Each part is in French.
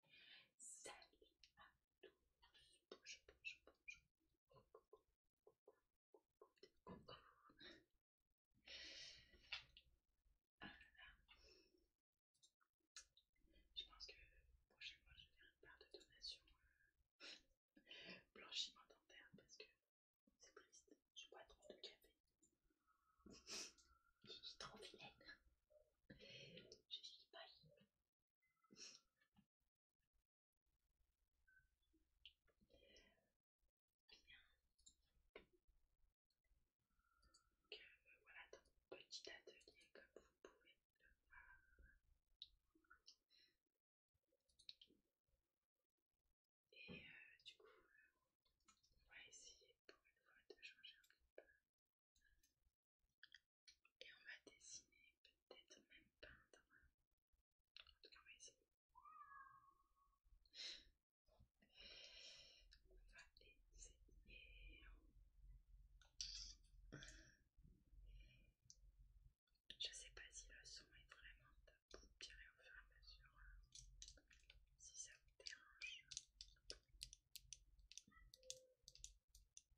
Salut à tous, bonjour, bonjour, bonjour. coucou, coucou, coucou Ah là là. Je pense que prochainement je vais faire une part de donation euh, blanchiment dentaire parce que c'est triste, je bois trop de café. J'ai suis trop vilaine. Je suis pas voilà, ton petit atelier, comme vous pouvez le voir. Et euh, du coup, on va essayer pour une fois de changer un peu. Et on va dessiner, peut-être même peindre. En tout cas, on va essayer. On va essayer. Je sais pas si le son est vraiment top, vous direz au fur et à mesure hein. si ça vous dérange.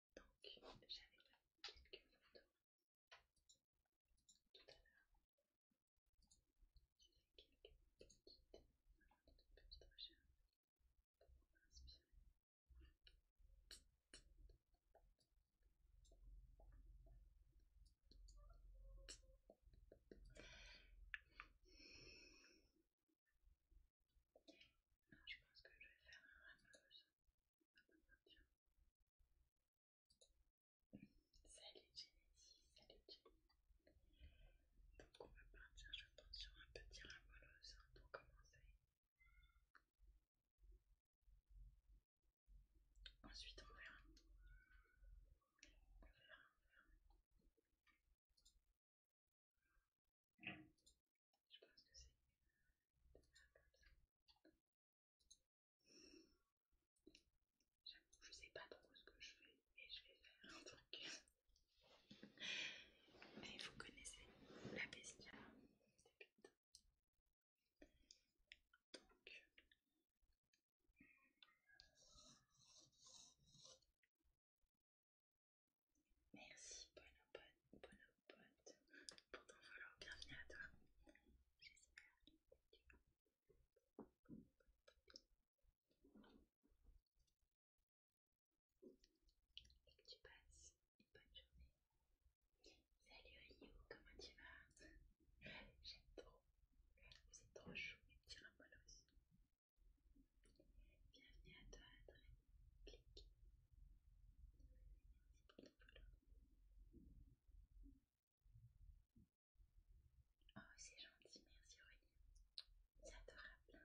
Donc j'avais pris quelques photos tout à l'heure. J'ai fait quelques petites, alors des petites recherches pour m'inspirer. Alors, je pense que je vais faire un rameuse. Ah, tiens, Salut Genesis, salut Genesis. Donc on va partir je pense sur un petit ramolos pour commencer. Ensuite on verra. On verra, on verra. Je pense que c'est un peu comme ça je sais pas trop ce que je fais, et je vais faire un truc. Mais vous connaissez la bestia, c'est merci, bonne, bonne, bonne pour ton follow. Bienvenue à toi. J'espère que tu et que tu passes une bonne journée. Salut Oliou, comment tu vas J'aime trop. Vous êtes trop chou, mes petits rambolos. Bienvenue à toi, André, Clique. Merci pour ton follow. Oh, c'est gentil, merci Aurélie. C'est adorable.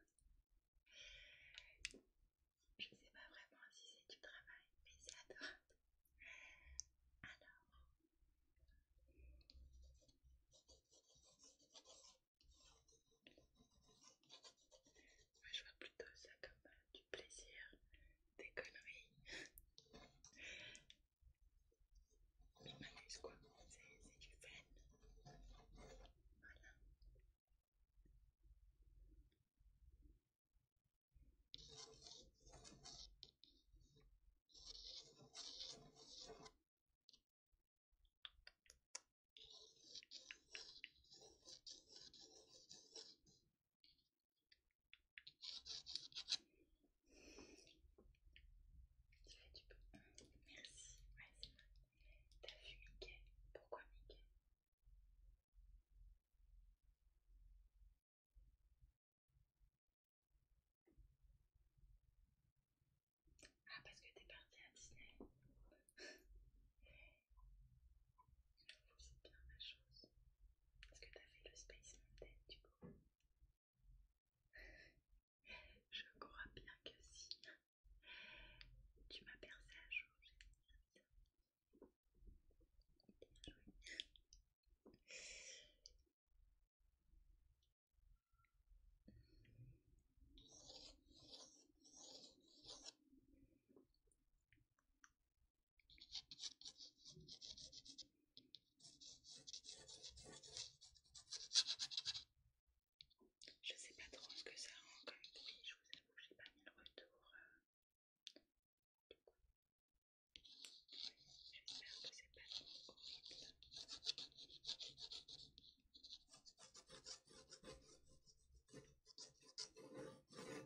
Je sais pas vraiment si c'est du travail, mais c'est adorable. Alors. je vois plutôt ça comme du plaisir, des conneries. Je m'amuse quoi, c'est du fun. Voilà. Tu du peux Merci. Ouais, c'est vrai. T'as vu Mickey Pourquoi Mickey Ah, parce que t'es parti à Disney. c'est bien la chose. Est-ce que t'as fait le Space Mountain du coup. Je crois bien que si tu m'as percé à jour, j'ai Bien je sais pas trop ce que ça rend comme bruit, je vous avoue, j'ai pas mis le retour. Euh, J'espère que c'est pas trop horrible.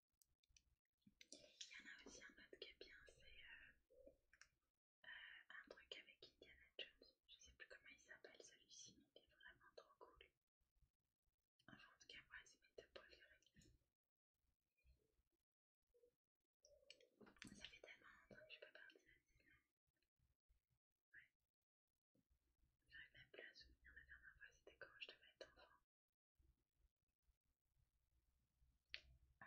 Il y en a aussi un autre qui est bien, c'est euh, euh, un truc avec Indiana Jones. Je sais plus comment il s'appelle celui-ci, mais il est vraiment trop cool. Enfin, en tout cas, moi, c'est mes deux préférés. Ça fait tellement longtemps que je pas partir à Disney. Ouais. J'arrive même plus à souvenir la dernière fois, c'était quand je devais être enfant. Ah.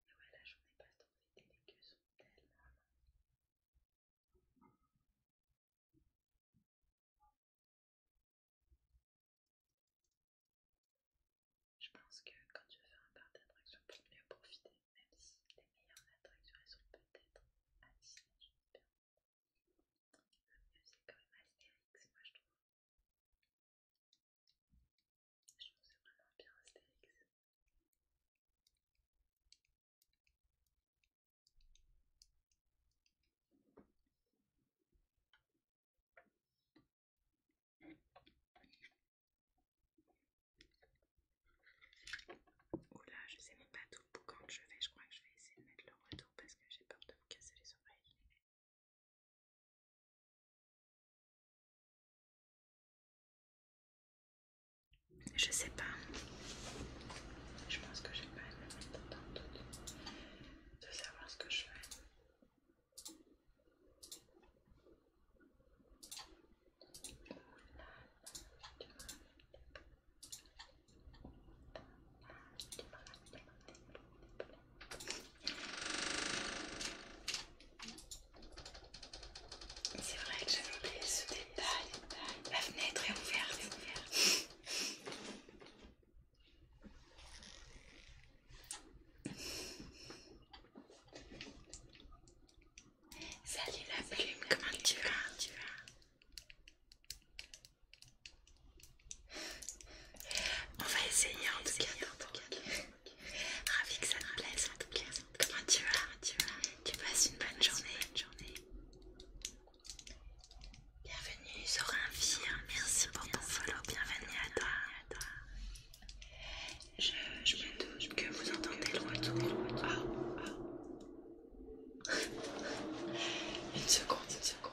Et ouais, la journée passe trop vite les queues sont Je pense que quand tu vas faire un parc d'attractions pour mieux profiter, même si les meilleures attractions elles sont peut-être à Disney, c'est quand même Astérix, moi je trouve. Je vraiment Astérix. Oula, je sais même pas tout le boucan que je vais Je crois que je vais essayer de mettre le retour parce que j'ai peur de vous casser les oreilles. Je sais pas. Je pense que j'ai pas à me mettre dans le doute de savoir ce que je fais. C'est vrai que j'avais oublié ce détail. La fenêtre est ouverte. Est ouverte. Salut la plume, comment tu as tu vas on va essayer en tout cas. Ravi que ça te plaise en tout cas. Comment tu vas Tu passes une bonne journée. Bienvenue sur un film. Merci pour ton follow. Bienvenue à toi. Je, je me que vous entendez le retour. Ah. Une seconde, une seconde.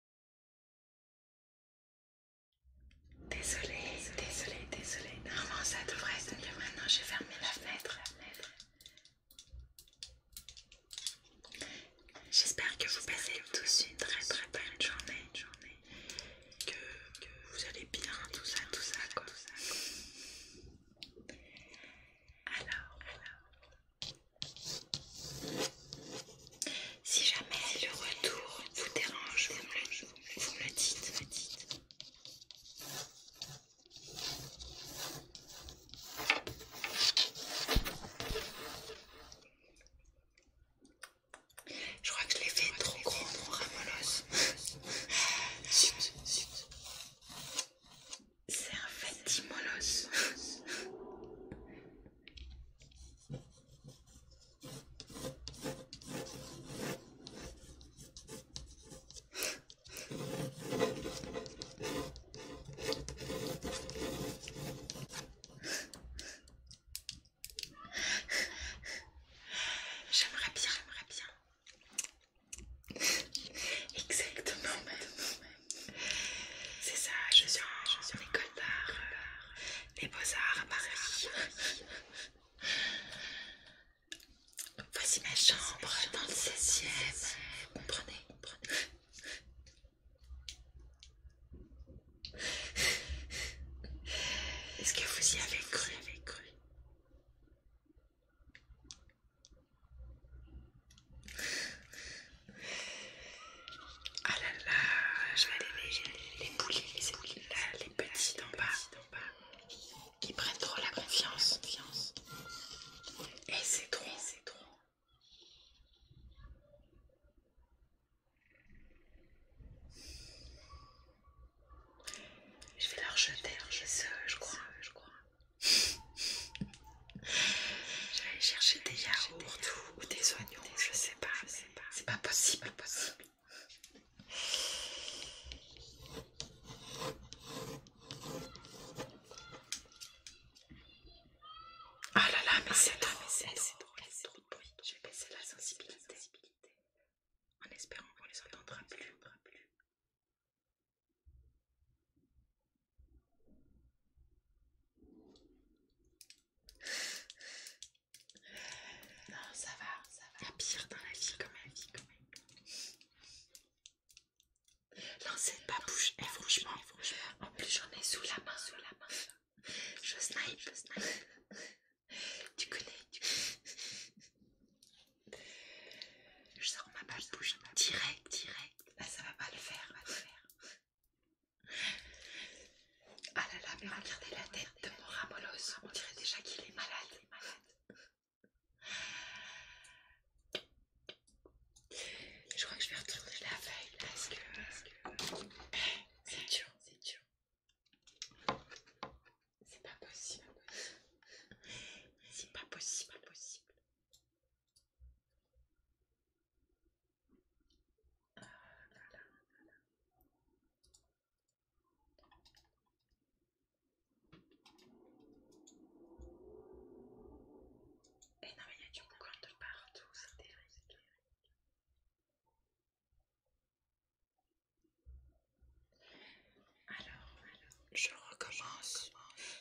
Désolée, désolée, désolée. Normalement ça devrait être mieux maintenant, j'ai fermé la fenêtre. J'espère que vous passez tous une très très belle journée, journée. Que, vous allez bien, tout ça, tout ça, quoi. Tout ça, alors. Si jamais le retour vous dérange, vous me le, dites. Je crois que je l'ai fait trop grand, trop ramolos. C'est un fatimolos. J'aimerais bien, j'aimerais bien. Exactement, même. c'est ça. Je suis je suis en école euh, les Beaux-Arts à Paris. Voici ma chambre dans le 16e. Comprenez, Est-ce que vous y avez cru, avez cru ah là là, je vais les, les poulies, les, là, les petits d'en bas, qui prennent trop la confiance. Et eh, c'est trop, c'est trop. Je vais leur jeter, je sais, je crois, je crois. je vais aller chercher des yaourts ou des oignons, je sais pas, c'est pas possible, pas possible. Ah là là, mais c'est trop, c'est c'est trop de bruit. J'ai baissé la sensibilité. En espérant qu'on les entendra plus. Non, ça va, ça va. pire dans la vie, comme la vie, quand même. Non, cette babouche, et franchement, en plus j'en ai sous la main, sous la main. Je snipe, je snipe. tu connais, tu connais. Je sors ma babouche, direct, direct. Là, ça va pas le faire, va le faire. Ah là là, regardez la tête de mon Ramolos, on dirait déjà qu'il est malade. Je crois que je vais retrouver la veille parce que c'est dur, c'est dur. C'est pas possible. C'est pas possible, pas possible. Ah, et non il y a du boucan de partout, c'est terrible. Alors, je recommence.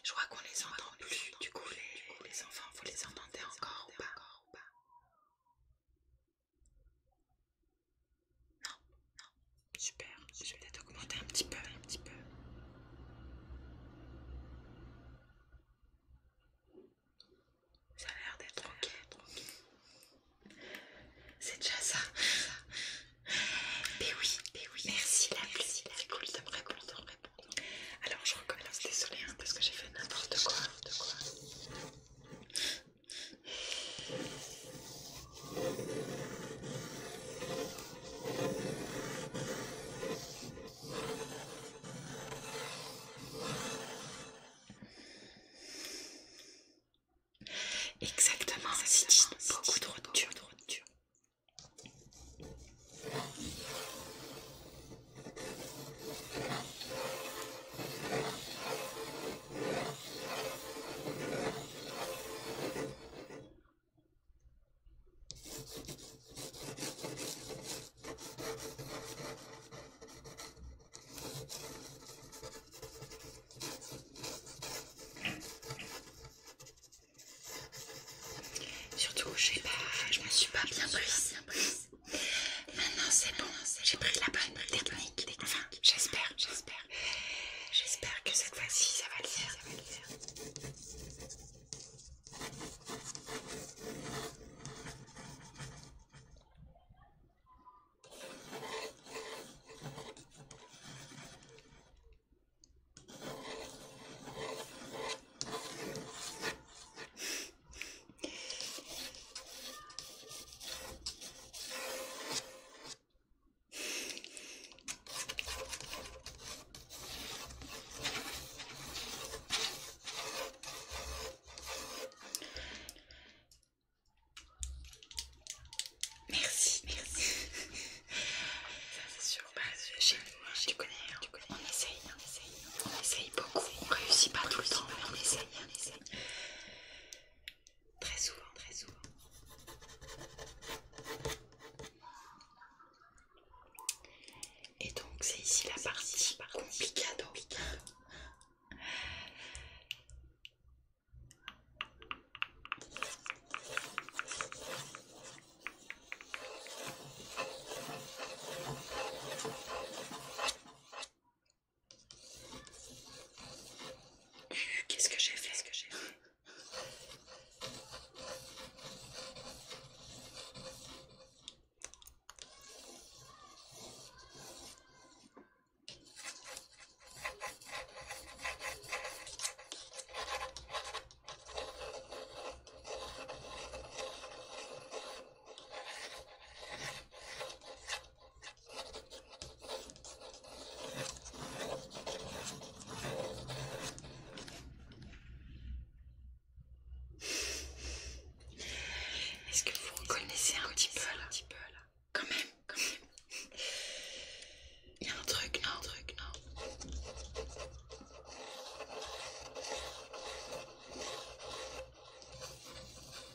Je crois qu'on les entend plus. Du coup, les, les enfants, vous les entendez encore ou pas non, non. Super. Je vais peut-être augmenter un petit peu, un petit peu. Ça a l'air d'être ok, tranquille. C'est déjà ça. Mais oui, oui. Merci la merci, C'est cool de me répondre, Alors je recommence, désolé hein, parce que j'ai fait n'importe quoi, quoi. Exactement, ça signifie beaucoup de de ruptures. Surtout, je sais pas, je me suis pas bien prise. Bien Maintenant c'est bon, j'ai pris la bonne technique. Enfin, j'espère, j'espère. J'espère que cette fois-ci ça va le faire, ça va le faire. Merci, merci. Ça c'est sûr, bah, chez nous, hein, tu, connais, hein. tu connais, on essaye, on essaye, on essaye beaucoup, on réussit pas tout le temps, mais on essaye, on essaye. Très souvent, très souvent. Et donc c'est ici la partie complicado. Qu'est-ce que j'ai fait, fait est-ce que vous reconnaissez un petit peu là, un petit peu, là Quand même, quand même. Il y a un truc, non, un truc, non.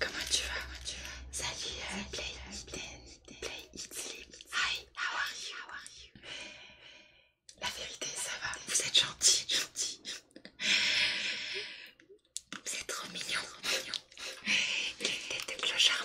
Comment tu vas Comment tu vas Salut, euh, play, it, sleep. Hi, how are you How are you La vérité, ça va. Vous êtes gentil, gentil. Vous êtes trop mignon, trop mignon. tête de clochard,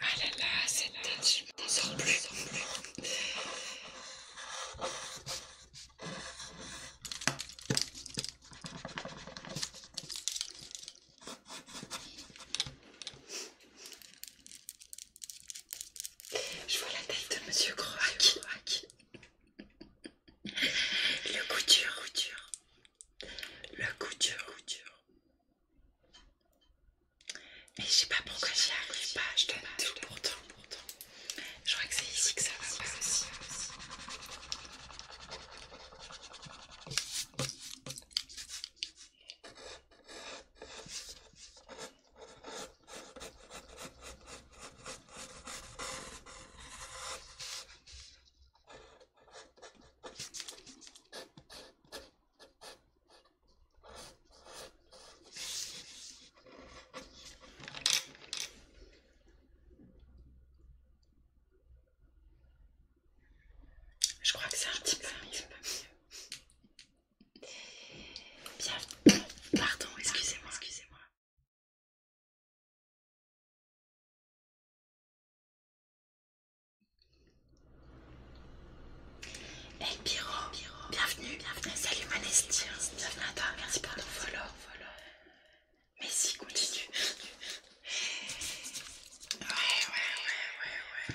Ah là là, c'est tête, je On sors plus. plus. Je vois la tête de Monsieur Croac. Le couture, couture. Le couture, couture. Mais je sais pas pourquoi j'y arrive pas, je donne tout pourtant. Je crois que c'est ici que ça va pas aussi. Je crois que c'est un petit peu mieux. Pardon, excusez-moi, excusez-moi. Et Piro, bienvenue, bienvenue, salut Manesti, bienvenue à toi, merci pour ton follow. Mais si, continue. ouais, ouais, ouais, ouais. ouais.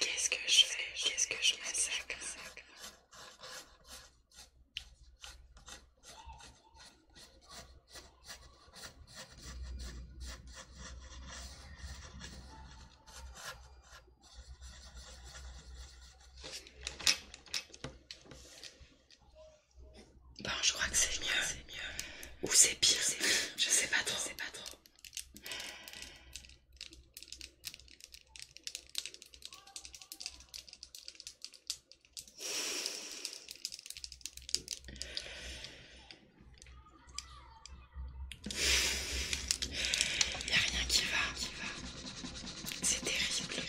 Qu'est-ce que je fais Qu'est-ce que je massacre Bon, je crois que c'est mieux, c'est mieux. Ou c'est pire, c'est Je sais pas trop. c'est pas trop. Il n'y a rien qui va, qui va. C'est terrible, terrible.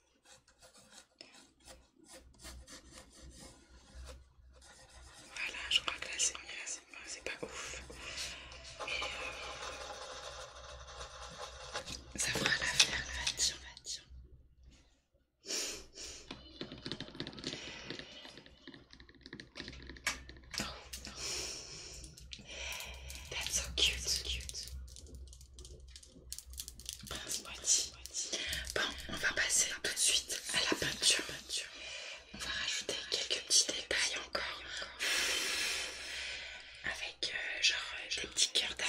Voilà, je crois que là c'est mieux, c'est pas, ouf. Euh, ça fera l'affaire, le vadillon, vadillon. That's so cute, so cute. Bon, on va passer tout de suite à la peinture. On va rajouter quelques petits détails encore. Avec euh, genre euh, des petits cœur d'âme.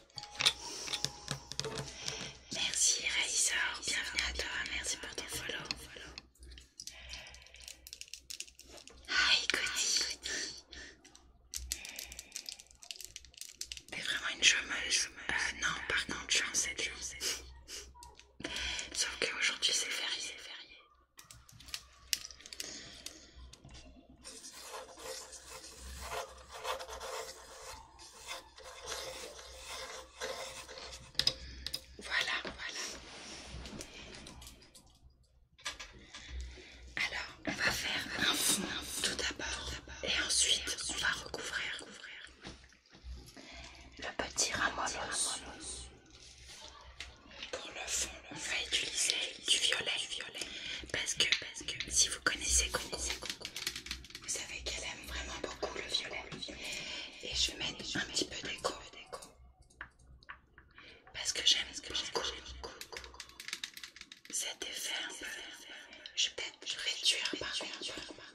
Merci Raïssa, bienvenue à toi, merci pour ton follow. Hi Cody, t'es vraiment une chômeuse. Euh, non, par contre, je suis en 7 Sauf Sauf qu'aujourd'hui c'est férié, férié. Voilà, voilà. Alors, on va faire un fond tout d'abord et ensuite on va recouvrir le petit ramollos. Pour le fond, on va utiliser du violet, violet. Parce que, parce que si vous connaissez, connaissez, connaissez vous savez qu'elle aime vraiment beaucoup le violet. Et je vais mettre un petit peu déco Parce que j'aime ce que j'aime. Cet effet un peu. Je vais peut-être réduire par contre.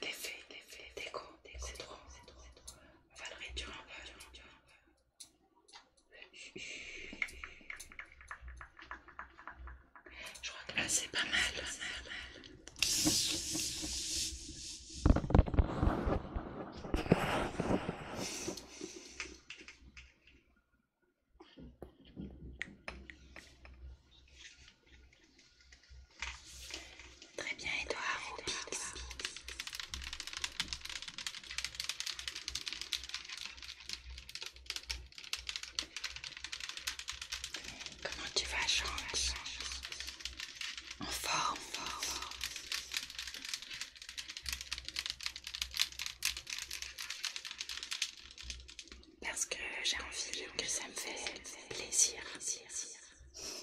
L'effet d'écho, c'est trop. On va le réduire un peu. Je crois que là c'est pas mal, pas mal, Très bien, Edouard Comment tu vas, Jean, En forme. Parce que j'ai envie que ça me fait plaisir. C'est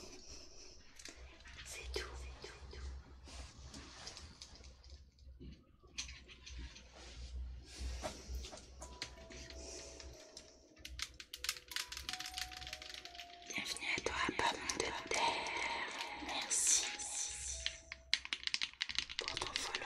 tout. Bienvenue à toi, pomme de terre. Merci pour ton follow.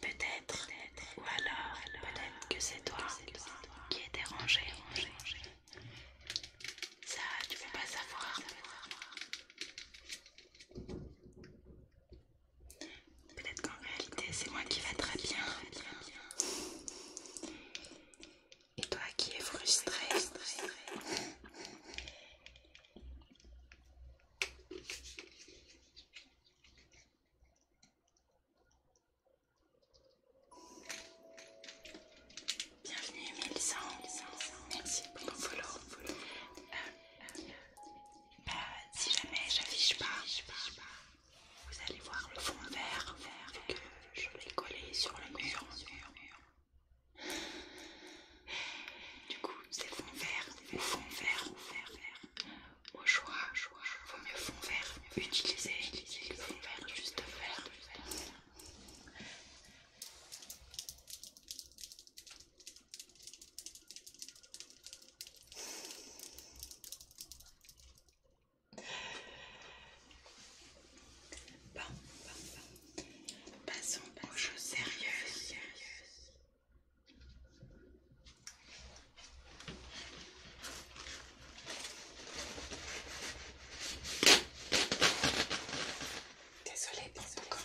Peut-être, ou alors, peut-être que c'est toi qui est dérangé. Ça, tu peux pas savoir. Peut-être qu'en réalité, c'est moi qui va très bien. Et toi qui es frustré. Bienvenue Mélissa, merci pour ton follow. Euh, euh, euh, bah, si jamais j'affiche pas, vous allez voir le fond vert, que je vais coller sur le mur. Du coup, c'est fond vert, le fond vert, vert. Au choix, vois, je vois, vaut mieux fond vert, utilisez le fond vert, juste vert. Bon, bon, bon. Passons aux choses sérieuses. Désolée pour ce corps.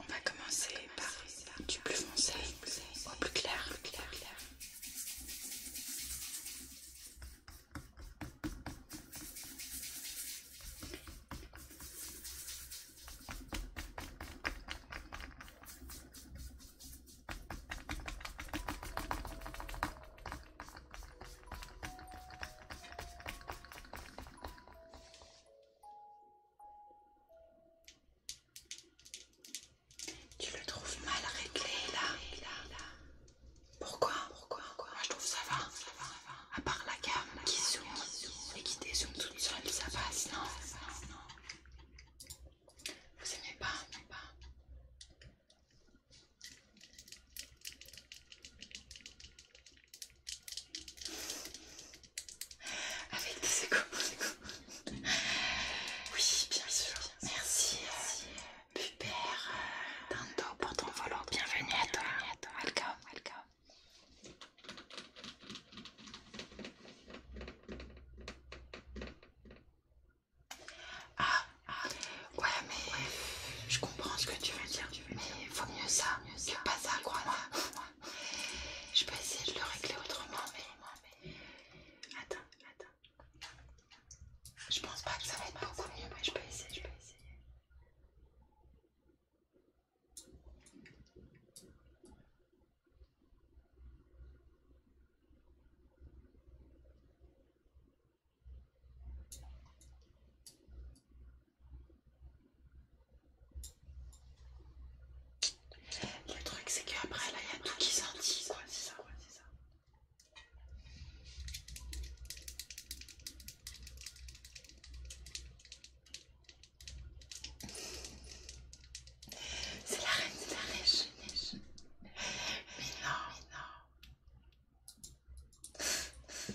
On va commencer par du plus foncé au plus clair. Tu le trouves mal réglé là, là, Pourquoi Pourquoi Moi je trouve ça va. Ça À part la gamme qui zoom et qui dézoome toute ça passe, non, ça Vous aimez pas, vous aimez pas. Avec des échos. oui, bien sûr. Merci, Merci. Euh, Pupère euh, pour ton volant. Bienvenue, à toi. Welcome, welcome. Ah, ah, ouais, mais je comprends ce que tu veux dire. Mais Il faut mieux ça, mieux ça, pas ça, crois Moi. Je peux essayer de le régler autrement, mais. Attends, attends. Je pense pas que ça va être beaucoup mieux, mais je peux essayer, je peux essayer. Le truc, c'est qu'après, là, il y a tout qui s'indise. quoi, c'est ça, c'est ça. C'est la reine, c'est la reine. Mais non, mais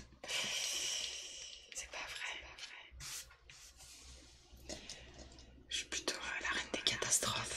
non. C'est pas, vrai. Je suis plutôt à la reine des catastrophes.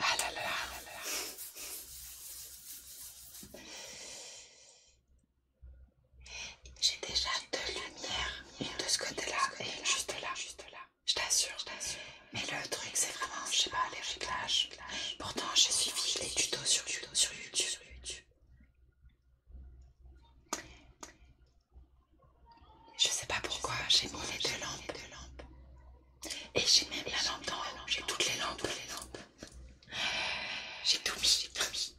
Ah là là là là. J'ai déjà deux lumières de ce côté-là et juste là, juste là. Je t'assure, je t'assure. Mais le truc, c'est vraiment, je sais pas, les réglages. Pourtant, j'ai suivi les tutos sur YouTube. Sur YouTube. Sur YouTube. Je sais pas pourquoi j'ai mis les deux lampes. lampes. Et j'ai même la lampe dans. haut. J'ai toutes les lampes. J'ai tout mis. J'ai tout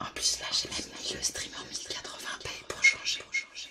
En plus, là, j'ai même mis le stream en 1080p pour changer. Pour changer.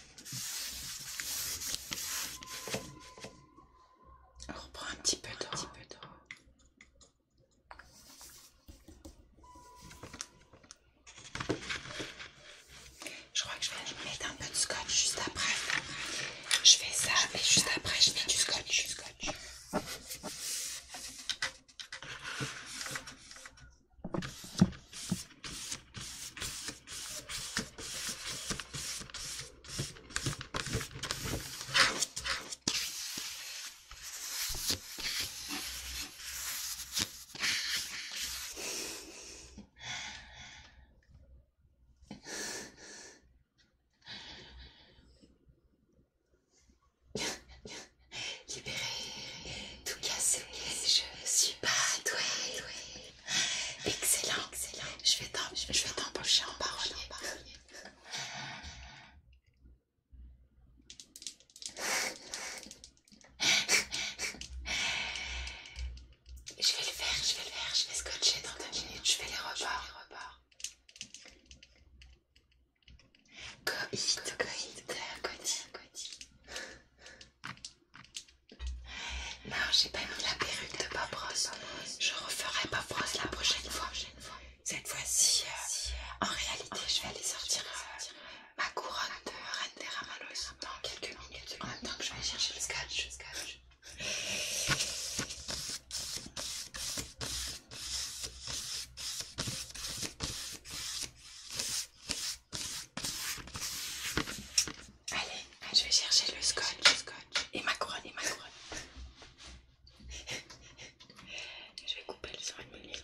On reprend un petit peu d'eau. Je crois que je vais mettre un peu de scotch juste après. Je fais ça et juste après je mets du scotch. Du scotch. Libéré, tout cassé, je ne suis pas doué, douée. Excellent, excellent. Je vais t'embaucher en parolier. Je vais le faire, je vais le faire, je vais scotcher dans deux minutes, je vais les rebords. les Go non, j'ai pas mis la perruque de Papros. Je referai Papros la prochaine fois. Cette fois-ci, euh, en réalité, je vais aller sortir euh, ma couronne de Reine des dans quelques minutes. En même temps que je vais chercher le Le scotch. Allez, ah, je vais chercher le scotch, le scotch. et ma couronne, et ma couronne. je vais couper le sang une minute.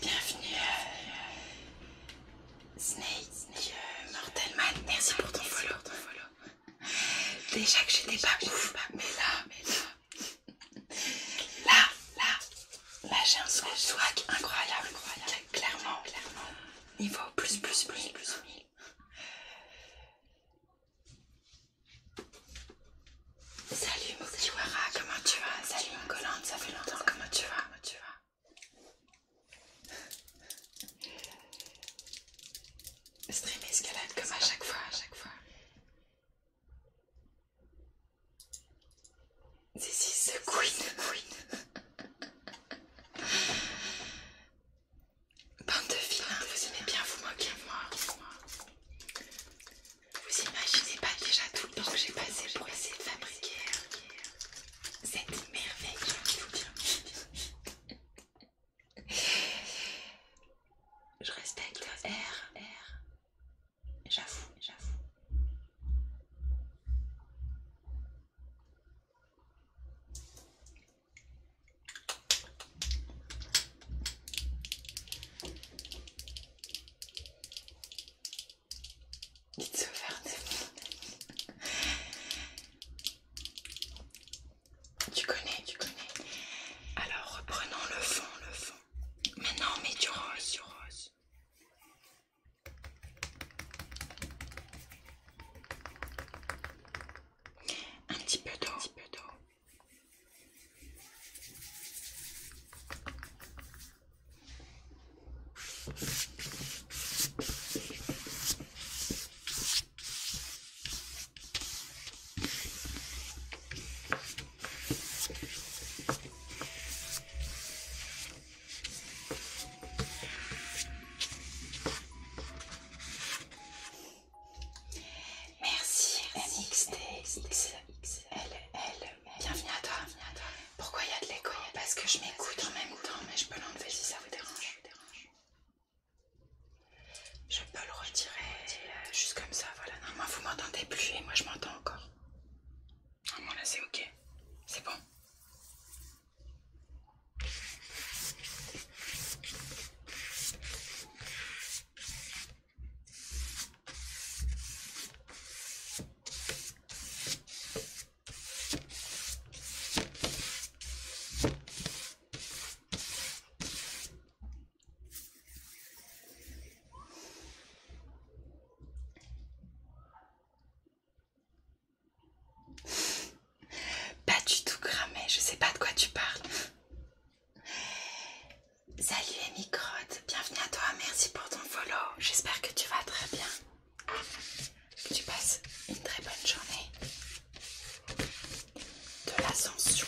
Bienvenue, euh, Snake, euh, Mortelman. Merci pour ton follow. Ton follow. Déjà que n'ai pas ouf, mais là, mais là, Là, là, là j'ai un swag, incroyable, incroyable. Clairement, clairement. Niveau plus, plus, plus, plus, mille. Salut mon comment tu vas Salut mon ça fait longtemps, comment tu vas Comment tu vas Streamer escalade comme à chaque fois, à chaque fois. C'est si The Queen, Queen. Bande de vilains, vous aimez bien vous moquer de moi. Vous imaginez pas déjà tout le temps que j'ai passé pour essayer de fabriquer cette merveille, qui vous tient je respecte R, R. J'avoue, j'avoue. It's Tu connais, tu connais. Alors reprenons le fond, le fond. Maintenant, Mais non, du rose, du rose. Un petit peu un petit peu d'eau. Merci MXTXLL, Bienvenue à toi. Pourquoi il y a de l'écho Parce que je m'écoute en même temps, mais je peux l'enlever si ça vous dérange. Je peux le retirer euh, juste comme ça, voilà. Normalement, vous m'entendez plus et moi je m'entends encore. Normalement, là c'est ok. C'est bon. Pas du tout cramé, je sais pas de quoi tu parles. Salut Amy microttes bienvenue à toi, merci pour ton follow. J'espère que tu vas très bien. Que tu passes une très bonne journée. De l'ascension.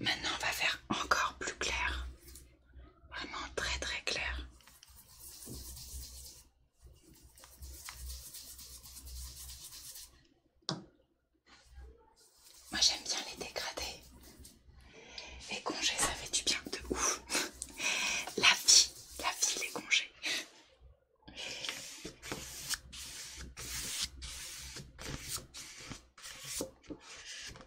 Maintenant, on va faire encore plus clair vraiment très très clair. Moi j'aime bien les dégradés. Les congés, ça fait du bien de ouf. La vie, la vie, les congés.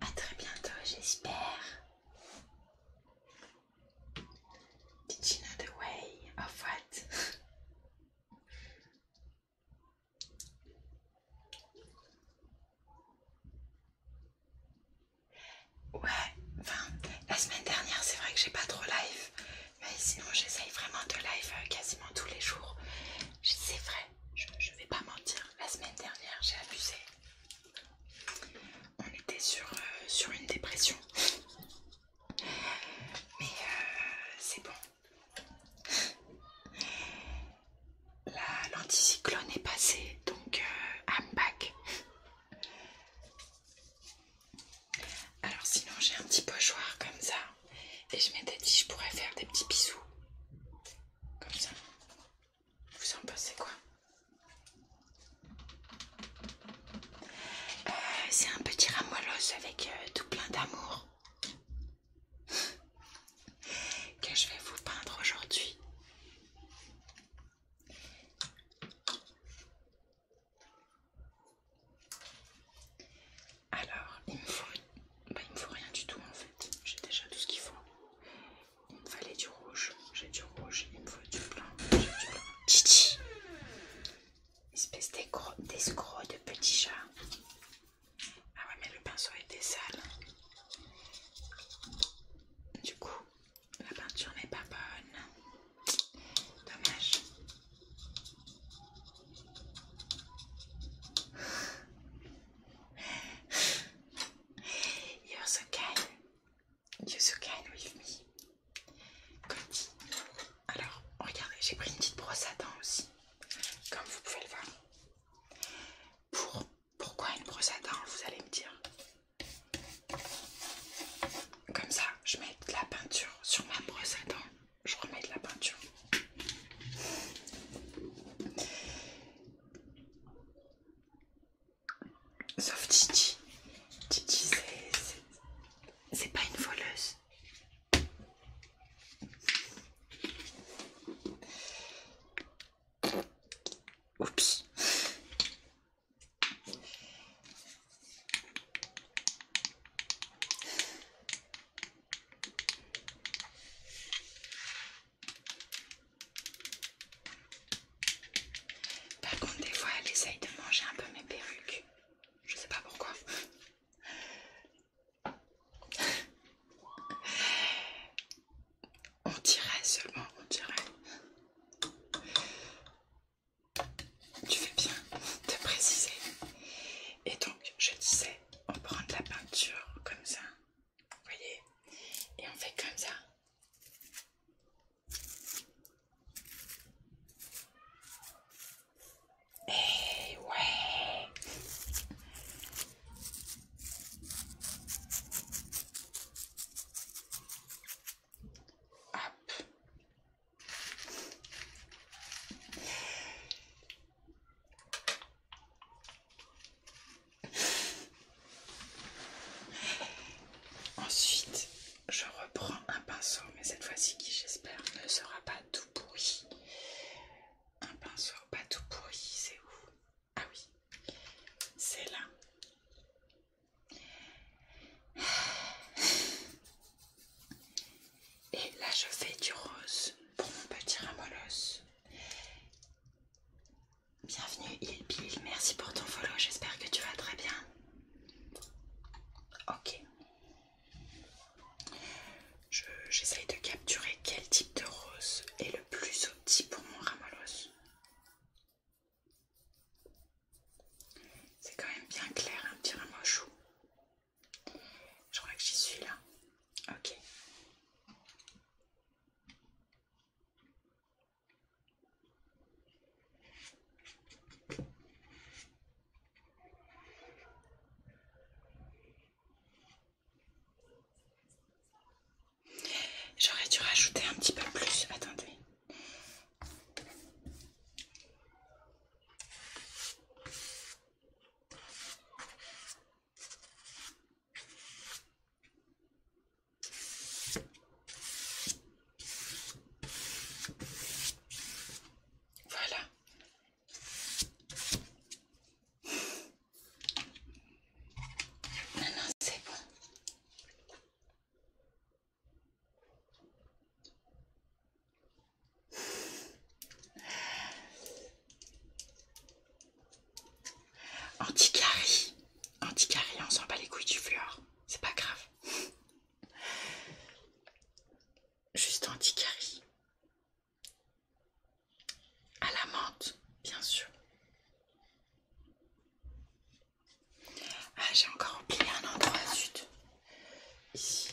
A très bientôt, j'espère. Did the way of what? Ouais, enfin, la semaine dernière, c'est vrai que j'ai pas trop live, mais sinon, j'essaye vraiment de live euh, quasiment tous les jours. C'est vrai je, vais pas mentir, la semaine dernière j'ai abusé. On était sur, euh, sur une dépression. Mais euh, c'est bon. L'anticyclone est passé, donc euh, I'm back. Alors sinon j'ai un petit pochoir comme ça. Et je m'étais dit je pourrais faire des petits bisous. Comme ça. Vous en pensez quoi euh, C'est un petit ramoilos avec euh, tout plein d'amour que je vais vous peindre aujourd'hui. Alors, il me faut bah, il me faut rien du tout en fait, j'ai déjà tout ce qu'il faut. Il me fallait du rouge, j'ai du rouge, il me faut du blanc, j'ai du Espèce d'escroc de petit chat. Ah ouais, mais le pinceau était sale. Du coup, la peinture n'est pas bonne. Dommage. You're kind, you're so kind with me. Alors, regardez, j'ai pris une petite brosse à dents aussi, comme vous pouvez le voir. Pour, pourquoi une brosse à dents, vous allez me dire Comme ça, je mets de la peinture sur ma brosse à dents, je remets de la peinture. Sauf Titi. Titi, c'est pas une voleuse. Oups. Par contre, des fois, elle essaye de manger un peu mes perruques. Je sais pas pourquoi. On dirait seulement, on dirait. Tu fais bien de préciser. Et donc, je disais, on prend de la peinture comme ça voyez Et on fait comme ça. Et eh ouais Ensuite, je reprends un pinceau, mais cette fois-ci qui j'espère ne sera pas tout pourri. Un pinceau pas tout pourri, c'est où Ah oui, c'est là. Et là, je fais du rose pour mon petit ramolos. Bienvenue Il merci pour ton follow, j'espère que tu vas très bien. Ok. J'essaye de capturer quel type de rose est le plus petit pour mon rose. C'est quand même bien clair, un petit ramochou. Je crois que j'y suis là. Ok. J'aurais dû rajouter un petit peu plus, attendez. Voilà. Non, non, c'est bon. Anticarie, Anticarie, on s'en bat les couilles du fleur. C'est pas grave. Juste Anticarie, À la menthe, bien sûr. Ah, j'ai encore oublié un endroit, zut. Ici.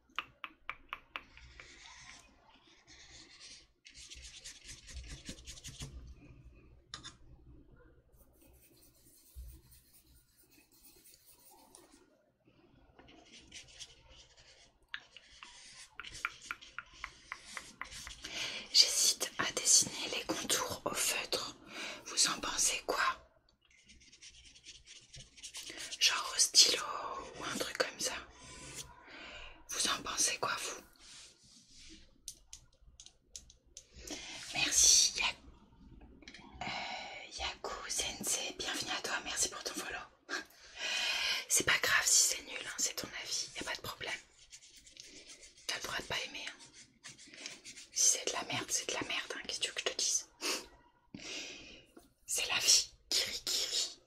J'hésite à dessiner les contours au feutre. Vous en pensez quoi Genre au stylo ou un truc comme ça. Vous en pensez quoi, vous Merci euh, Yaku bienvenue à toi, merci pour ton follow. c'est pas grave si c'est nul, hein, c'est ton avis, y pas de problème. T'as le droit de pas aimer. Hein. Si c'est de la merde, c'est de la merde, hein. qu'est-ce que tu veux que je te dise c'est la vie, rit.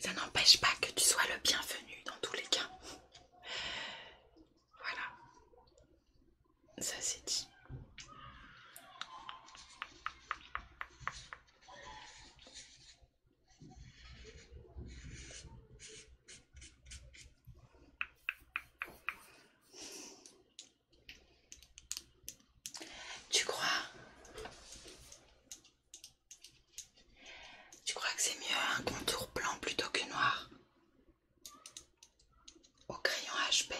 Ça n'empêche pas que tu sois le bienvenu dans tous les cas. Voilà, ça c'est dit. Tu crois Tu crois que c'est mieux un contour blanc plutôt que noir au crayon HB,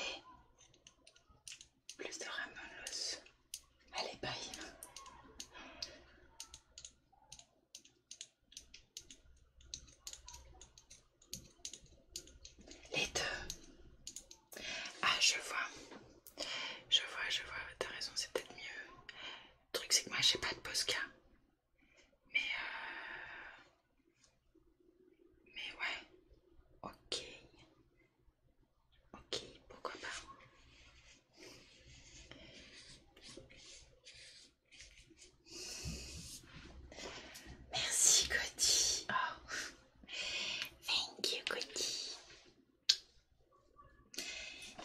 plus de Ramolos. Allez, bye! Les deux. Ah, je vois. Je vois, je vois. T'as raison, c'est peut-être mieux. Le truc, c'est que moi, j'ai pas de Posca. Mais, euh... mais ouais, ok, ok, pourquoi pas. Merci Cody. Oh. Thank you Cody.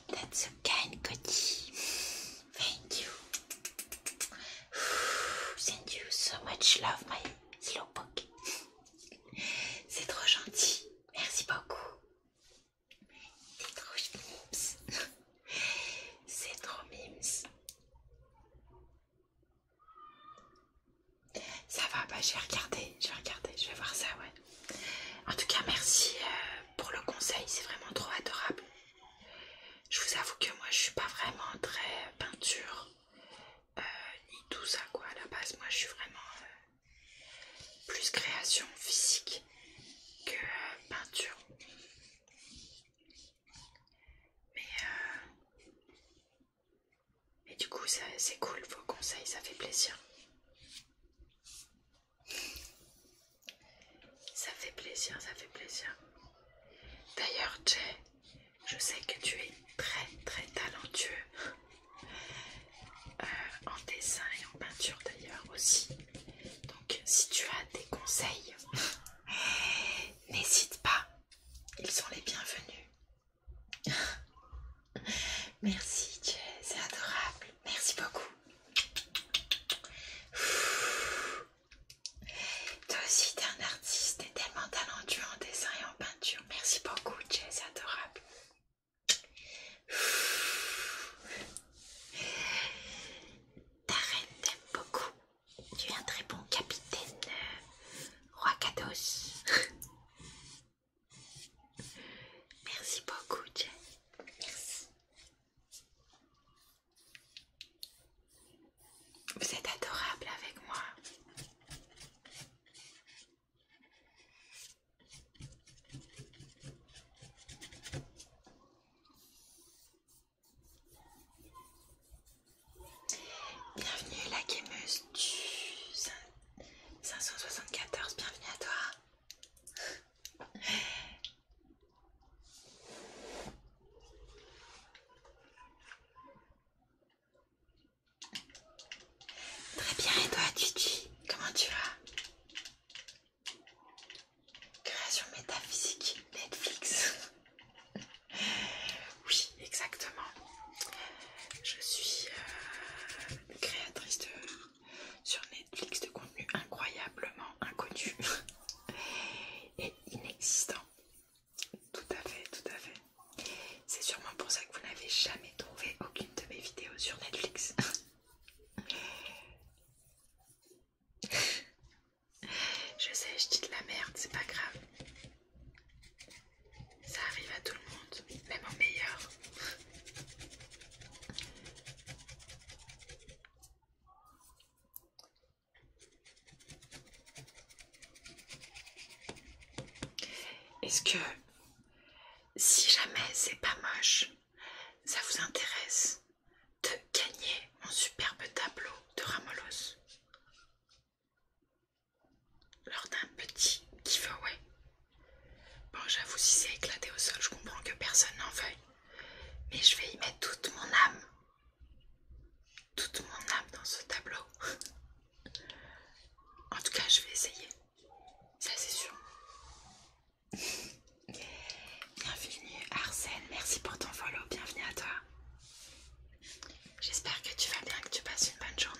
That's so kind Cody. Thank you. Thank you so much. Love my book. C'est trop gentil. Merci beaucoup. C'est trop mimes. C'est trop Ça va, bah je vais je vais regarder, je vais voir ça, ouais. En tout cas, merci euh, pour le conseil, c'est vraiment trop adorable. Je vous avoue que moi je suis pas vraiment très peinture euh, ni tout ça quoi à la base. Moi je suis vraiment euh, plus création physique que euh, peinture. mais du coup c'est cool vos conseils, ça fait plaisir. Ça fait plaisir, ça fait plaisir. D'ailleurs, Jay, je sais que tu es très très talentueux euh, en dessin et en peinture d'ailleurs aussi. Donc, si tu as des conseils, n'hésite pas, ils sont les bienvenus. Merci, Jay, c'est adorable. Merci beaucoup. Toi aussi, t'es un artiste, et tellement talentueux en dessin et en peinture. Merci beaucoup, Jess, adorable. Ta reine t'aime beaucoup. Tu es un très bon capitaine euh, Roi Kados. Merci beaucoup, Jess. Merci. Vous êtes adorable avec moi. Bienvenue la gameuse du 574, bienvenue à toi. Très bien, et toi, Titi, comment tu vas Création métaphysique Netflix. oui, exactement. Je suis euh, créatrice sur Netflix de contenu incroyablement inconnu et inexistant. Tout à fait, tout à fait. C'est sûrement pour ça que vous n'avez jamais trouvé aucune de mes vidéos sur Netflix. je sais, je dis de la merde, c'est pas grave. Ça arrive à tout le monde, même en meilleur. Est-ce que si jamais c'est pas moche, ça vous intéresse de gagner mon superbe tableau de Ramolos lors d'un petit giveaway Bon, j'avoue, si c'est éclaté au sol, je comprends que personne n'en veuille, mais je vais y mettre toute mon âme toute mon âme dans ce tableau. en tout cas, je vais essayer. Ça, c'est sûr. Bienvenue Arsène, merci pour ton follow, bienvenue à toi. J'espère que tu vas bien, que tu passes une bonne journée.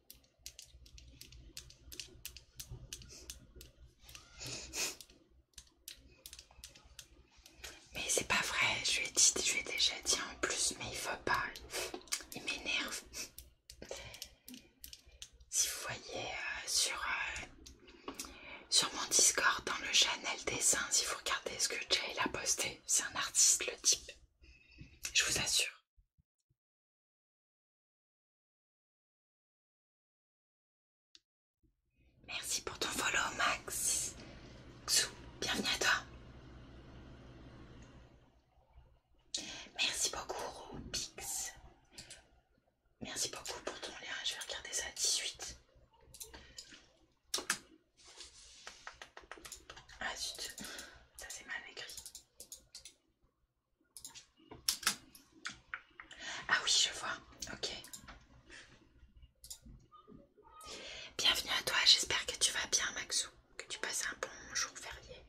Mais c'est pas vrai, je lui ai dit, déjà dit en plus, mais il faut pas, il m'énerve. Si vous voyez euh, euh, sur, mon Discord dans le channel dessin, si vous regardez ce que Jay a posté, c'est un artiste le type, je vous assure. Merci pour ton follow, Max. Xou, bienvenue à toi. Merci beaucoup, Pix. Merci beaucoup pour ton lien. Je vais regarder ça à 18. Ah zut, ça c'est mal écrit. Ah oui, je vois. Ok. Bienvenue à toi, j'espère que tu vas bien Maxou, que tu passes un bon jour férié.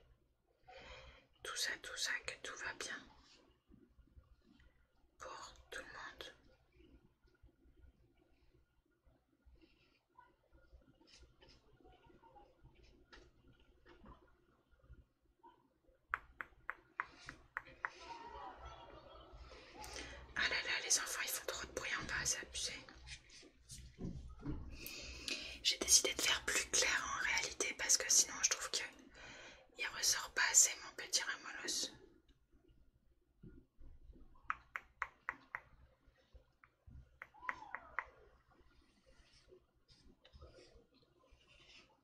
Tout ça, tout ça, que tout va bien. Pour tout le monde. Ah là là, les enfants, ils font trop de bruit en bas, c'est abusé. J'ai décidé de faire plus clair en réalité parce que sinon je trouve qu'il ressort pas assez mon petit ramolos.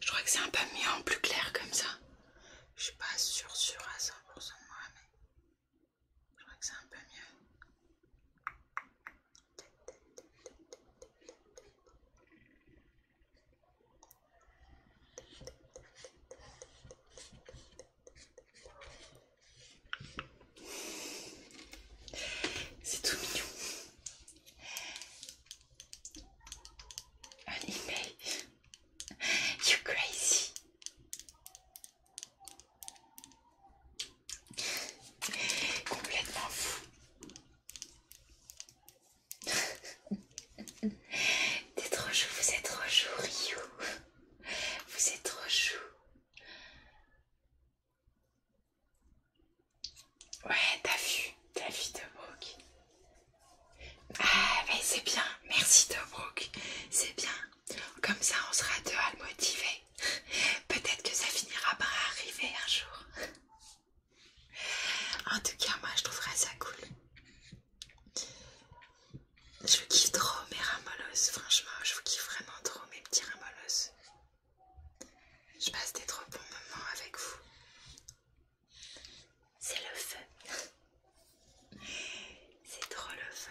Je crois que c'est un peu mieux en plus clair comme ça. Je suis pas sûre, sûre à 100% de moi, mais je crois que c'est un peu mieux. C'est tout mignon un email. you crazy. Complètement fou. T'es trop chou, vous êtes trop chou, Vous êtes trop chou. Ouais, t'as vu, t'as vu Tobruk. Ah, mais ben, c'est bien, merci Tobruk, c'est bien. Comme ça, on sera deux à le motiver. Peut-être que ça finira par arriver un jour. En tout cas, moi, je trouverais ça cool. Je vous kiffe trop mes ramolos, franchement, je vous kiffe vraiment trop mes petits ramolos. Je passe des trop bons moments avec vous. C'est le feu. C'est trop le feu.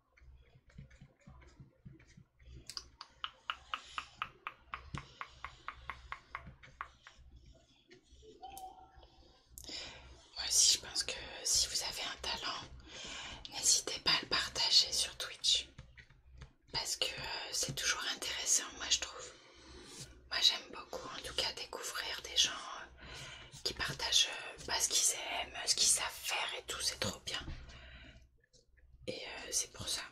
Moi aussi, je pense que si vous avez un talent, n'hésitez pas à le partager sur Twitch. Parce que euh, c'est toujours intéressant, moi je trouve. Moi j'aime beaucoup en tout cas découvrir des gens euh, qui partagent pas euh, bah, ce qu'ils aiment, ce qu'ils savent faire et tout, c'est trop bien. Et euh, c'est pour ça,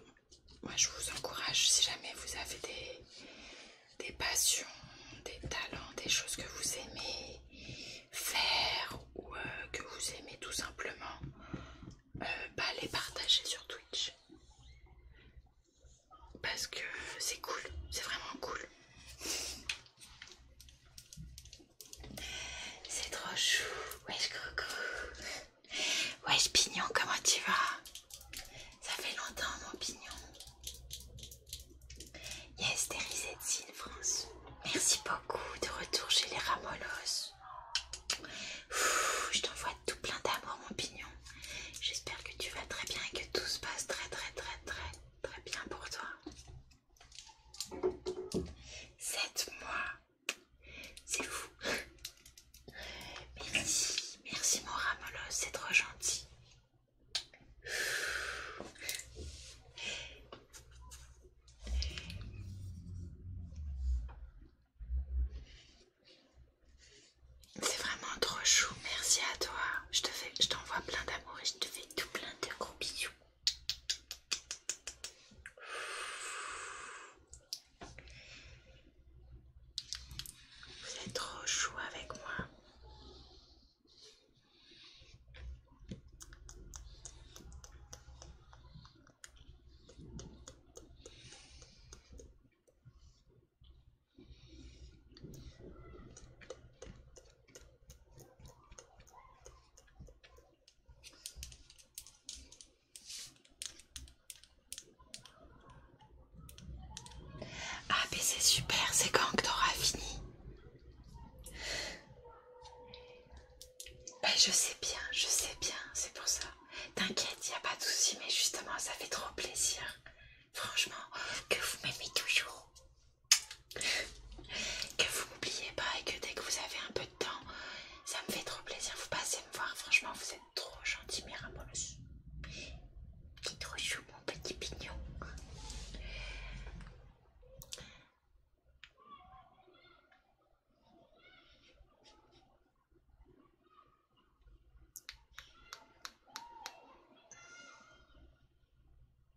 moi je vous encourage, si jamais vous avez des, des passions, des talents, des choses que vous aimez faire ou euh, que vous aimez tout simplement, pas bah, les partager sur Twitch. Parce que c'est cool, c'est vraiment cool. C'est trop chou. Wesh Coco. Wesh Pignon, comment tu vas Ça fait longtemps mon Pignon. Yes, there de France. Merci beaucoup de retour chez les Ramolos. je t'envoie tout plein d'amour mon Pignon. J'espère que tu vas très bien et que tout se passe très très très très très bien pour toi. 7 mois. C'est fou. Merci, merci mon ramolos, c'est trop gentil. C'est vraiment trop chou, merci à toi. Je t'envoie plein d'amour et je te fais tout plein de gros bisous. Vous êtes trop chaud avec moi. Ah mais c'est super, c'est quand que t'auras fini ben, je sais bien, je sais bien, c'est pour ça. T'inquiète, y a pas de souci, mais justement, ça fait trop plaisir. Franchement, que vous m'aimez toujours que vous m'oubliez pas et que dès que vous avez un peu de temps, ça me fait trop plaisir. Vous passez me voir, franchement, vous êtes trop gentil, Miramolos. T'es trop chou, mon petit pignon.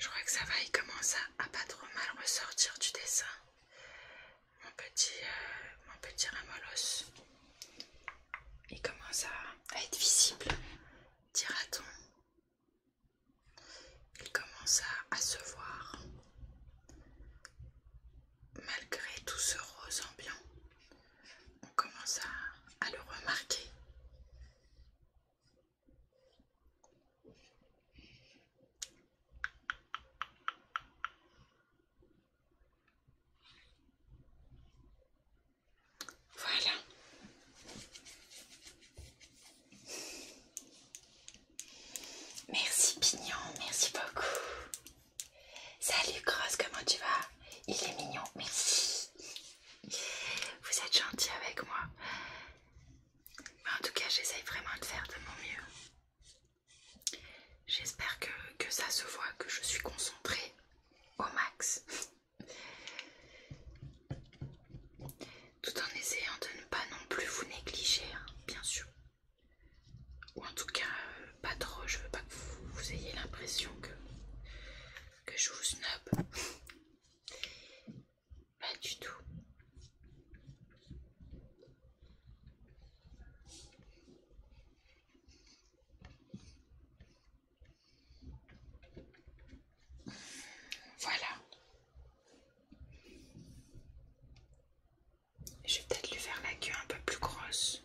Je crois que ça va, il commence à, pas trop mal ressortir du dessin. Mon petit, Ramolos, euh, il commence à, être visible, dira-t-on. Il commence à se voir malgré tout ce rose ambiant on commence à, le remarquer. Voilà. Merci Pignon, merci beaucoup. Salut Grosse, comment tu vas Il est mignon, mais Vous êtes gentil avec moi. Mais en tout cas, j'essaye vraiment de faire de mon mieux. J'espère que, ça se voit, que je suis concentrée au max. Tout en essayant de ne pas non plus vous négliger, hein, bien sûr ou en tout cas euh, pas trop, je veux pas que vous, ayez l'impression que, que je vous snob. pas du tout. Voilà. Je vais peut-être lui faire la queue un peu plus grosse.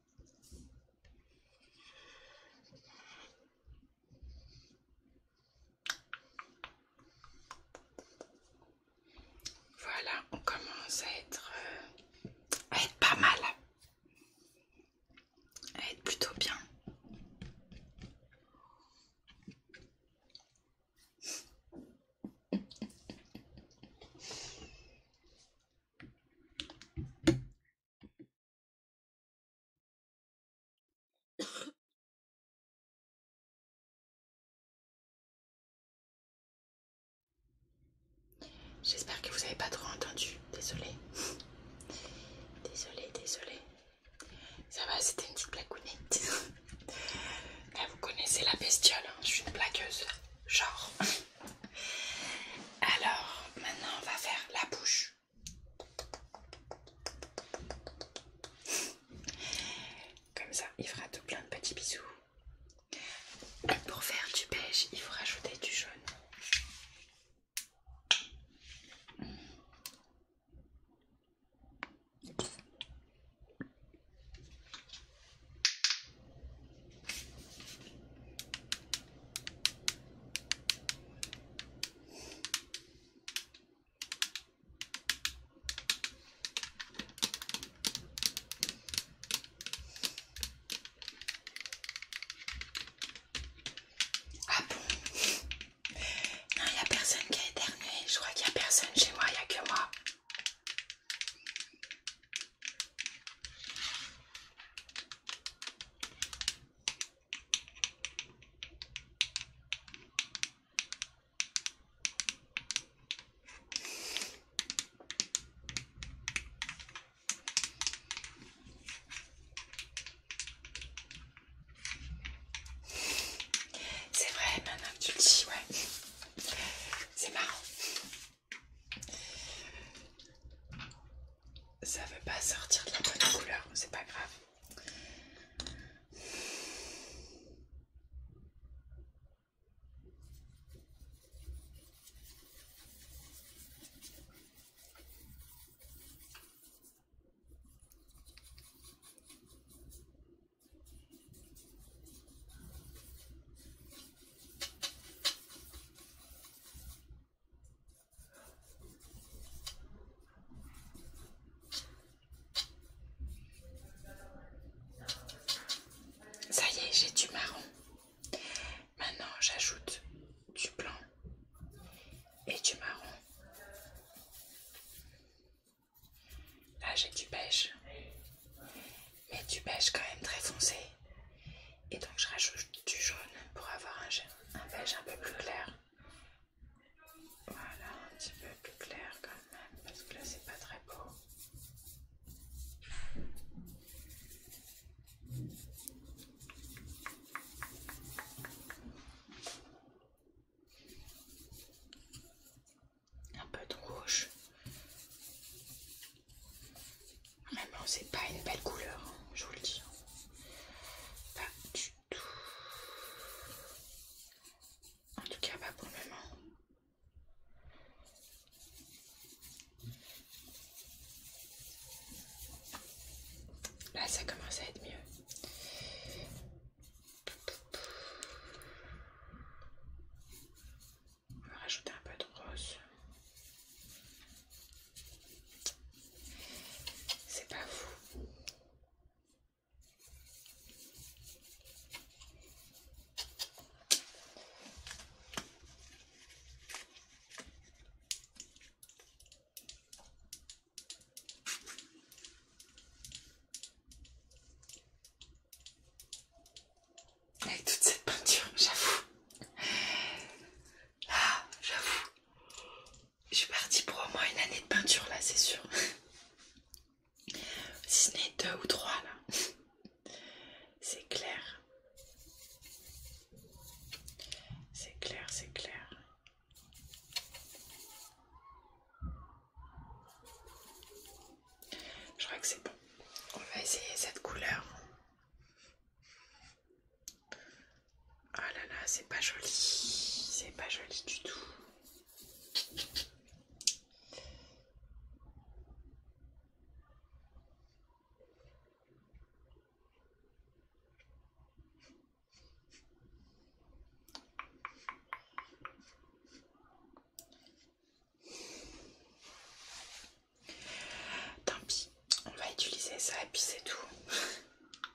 Voilà, on commence à être, euh, à être pas mal, à être plutôt bien. J'espère que vous n'avez pas trop entendu. Désolée. Désolée, désolée. Ça va, c'était une petite blagounette. Là, eh, vous connaissez la bestiole. Hein. Je suis une blagueuse. Genre. Alors, maintenant, on va faire la bouche. Comme ça, il fera tout plein de petits bisous. pour faire du beige, il faut rajouter du jaune. Ah bon Non, il n'y a personne qui a éternué. Je crois qu'il n'y a personne chez moi, il n'y a que moi. C'est vrai, maintenant que tu le dis, ouais. C'est marrant ça veut pas sortir de la bonne couleur, c'est pas grave. Ça y est, j'ai du marron. Maintenant, j'ajoute du blanc et du marron. Là, j'ai du beige, mais du beige quand même très foncé. Et donc je rajoute du jaune pour avoir un, un beige un peu plus clair. Voilà, un petit peu plus clair quand même, parce que là c'est pas très beau. Un peu de rouge. Vraiment, c'est pas une belle couleur, hein, je vous le dis. Pas du tout. En tout cas, pas pour le moment. Là, ça commence à être mieux. On va rajouter un peu de rose. C'est pas vous. Avec toute cette peinture, j'avoue. Ah, j'avoue je suis partie pour au moins une année de peinture là, c'est sûr. si ce n'est deux ou trois là, c'est clair. C'est clair, c'est clair. Je crois que c'est bon. On va essayer cette couleur. Ah oh là là, c'est pas joli. C'est pas joli du tout. Tant pis, on va utiliser ça et puis c'est tout.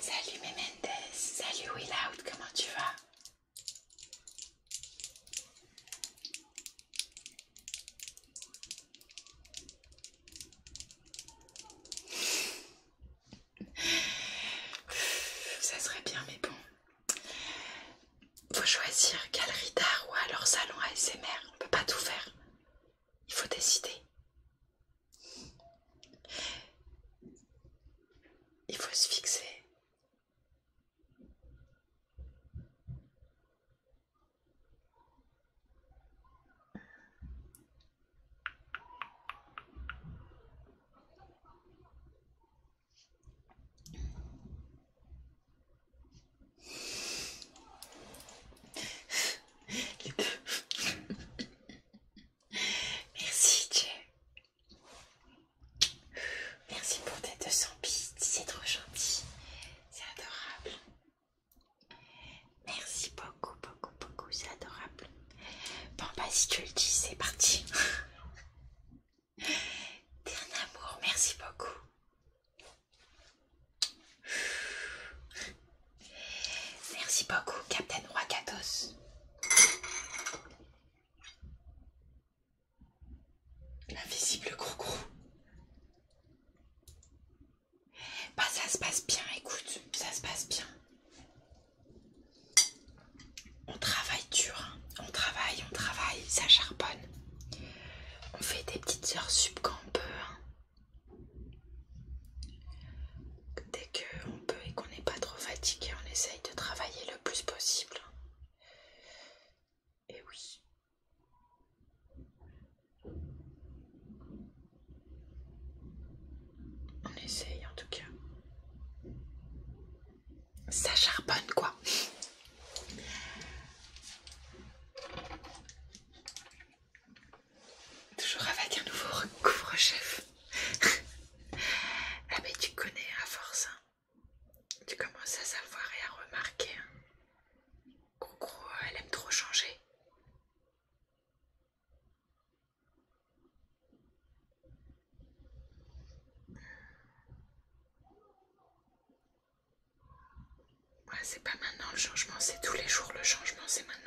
Salut Mémendez, salut Willout, comment tu vas Ça serait bien, mais bon. Faut choisir galerie d'art ou alors salon ASMR. On peut pas tout faire. Il faut décider. Il faut se fixer. Merci Dieu. Merci pour tes 200 bits, c'est trop gentil. C'est adorable. Merci beaucoup, beaucoup, beaucoup, c'est adorable. Bon bah si tu le dis, c'est parti. T'es un amour, merci beaucoup. Merci beaucoup, Captain Wakatos. L'invisible Crocro. Bah ça se passe bien, écoute, ça se passe bien. On travaille dur, hein. on travaille, on travaille, ça charbonne. On fait des petites heures sub quand Dès qu'on peut et qu'on n'est pas trop fatigué, on essaye de travailler le plus possible. Et oui. On essaye en tout cas. Ça charbonne quoi. Toujours avec un nouveau couvre-chef. ah, mais tu connais à force. Hein. Tu commences à savoir et à remarquer. qu'en hein. euh, elle aime trop changer. Ouais, c'est pas maintenant le changement, c'est tous les jours le changement, c'est maintenant.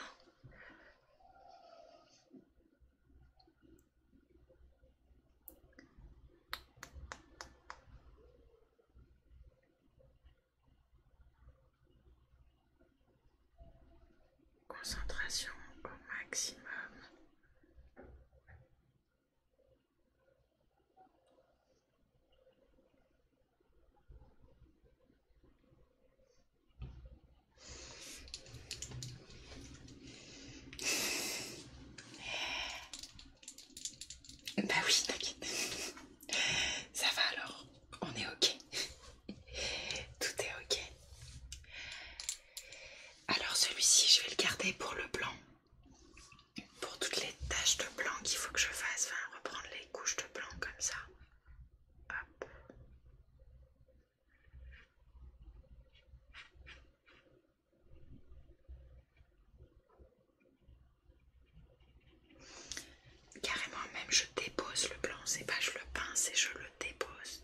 Concentration au maximum. Bah oui, t'inquiète. Ça va alors, on est ok. Tout est ok. Alors celui-ci, je vais le garder pour le blanc. Pour toutes les taches de blanc qu'il faut que je fasse. Enfin, reprendre les couches de blanc comme ça. Hop. Carrément, même je dépose le blanc, c'est pas je le pince et je le dépose.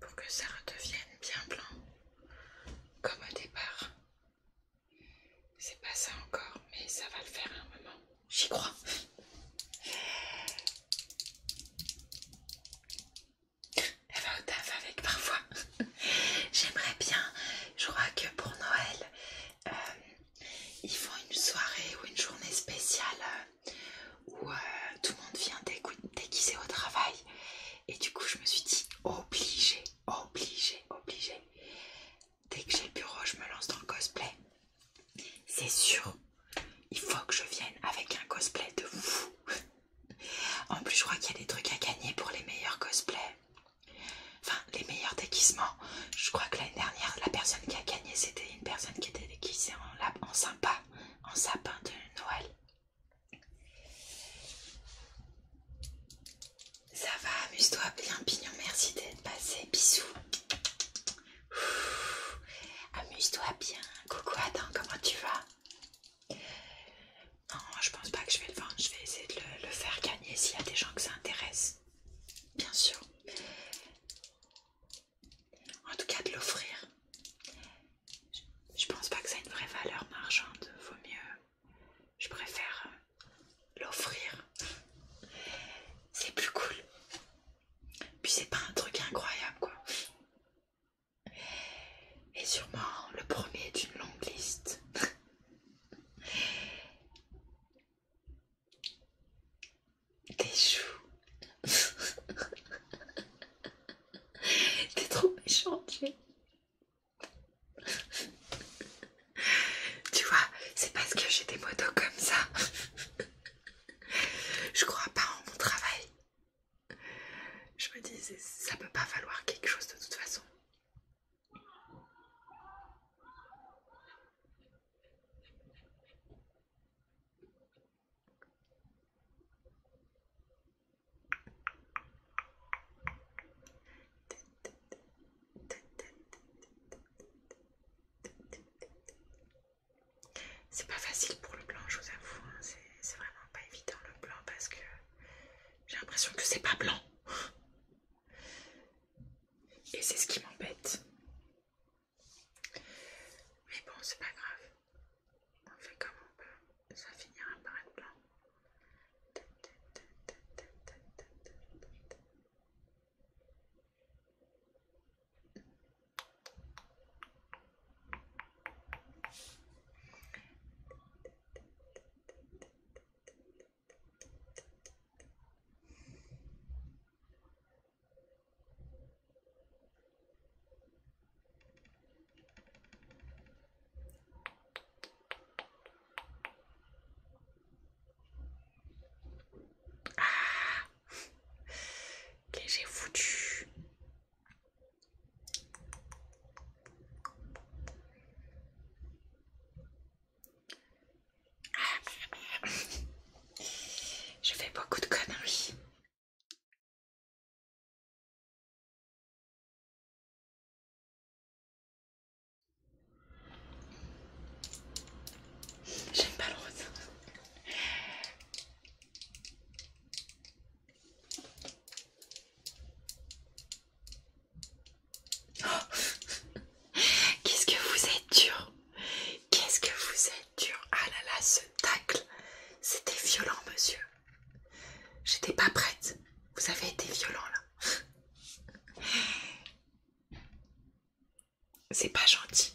pour que ça redevienne bien blanc comme au départ. C'est pas ça encore, mais ça va le faire à un moment. J'y crois. Elle va au taf avec parfois. J'aimerais bien, je crois que pour Noël, euh, ils font une soirée ou une journée spéciale euh, où euh, tout le monde vient déguiser au travail. Et du coup, je me suis dit obligé, obligé, obligé. Dès que j'ai le bureau, je me lance dans le cosplay. C'est sûr, il faut que je vienne avec un cosplay de fou. En plus, je crois qu'il y a des trucs à gagner pour les meilleurs cosplays. Enfin, les meilleurs déguisements. Je crois que l'année dernière, la personne qui a gagné, c'était une personne qui était déguisée en, en sympa, en sapin de Noël. Ça va, amuse-toi bien, Pignon. Merci d'être passé. Bisous. Amuse-toi bien. Coucou, Adam, comment tu vas Non, je pense pas que je vais le vendre. Je vais essayer de le, faire gagner s'il y a des gens que ça intéresse. Bien sûr. En tout cas, de l'offrir je, pense pas que ça ait une vraie valeur marchande. Vaut mieux. Je préfère euh, l'offrir. C'est plus cool. Puis c'est pas un truc incroyable quoi. Et sûrement le premier d'une longue liste. Des choux. T'es trop méchante tu vois, c'est parce que j'ai des motos comme ça. Je crois pas en mon travail. Je me dis, ça peut pas valoir quelque chose de toute façon. C'est pas facile pour le blanc, je vous avoue, hein. c'est vraiment pas évident le blanc parce que j'ai l'impression que c'est pas blanc. Et c'est ce qui m'embête. Mais bon, c'est pas grave. On fait comme on peut, ça finira par être blanc. Ah que j'ai foutu ah. Je fais beaucoup de conneries. J'aime pas le rose. Oh. Qu'est-ce que vous êtes dur Qu'est-ce que vous êtes dur Ah là là, ce tacle C'était violent, monsieur. J'étais pas prête. Vous avez été violent là. C'est pas gentil.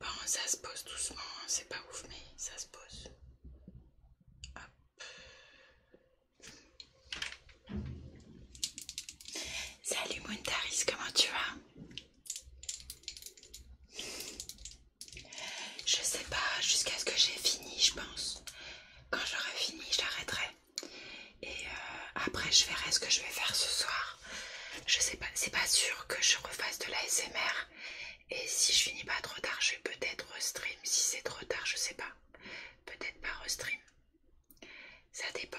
Bon, ça se pose doucement, hein, c'est pas ouf, mais ça se pose. Salut Montaris, comment tu vas Je sais pas, jusqu'à ce que j'ai fini, je pense. Quand j'aurai fini, j'arrêterai. Et euh, après, je verrai ce que je vais faire ce soir. Je sais pas, c'est pas sûr que je refasse de la SMR et si je finis pas trop tard, je vais peut-être restream. Si c'est trop tard, je sais pas. Peut-être pas restream. Ça dépend.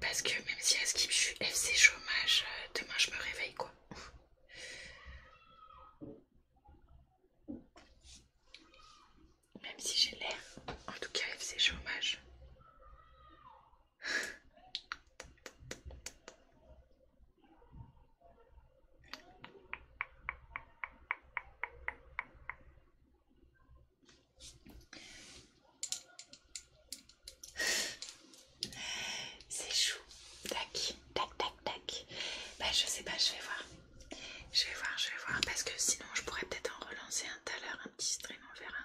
Parce que même si à skip je suis FC chômage, euh, demain je me réveille quoi. Même si j'ai l'air, en tout cas FC chômage. C'est chou. Tac, tac, tac, tac. Bah je sais pas, je vais voir. Je vais voir, je vais voir. Parce que sinon je pourrais peut-être en relancer un tout à l'heure, un petit stream, on verra.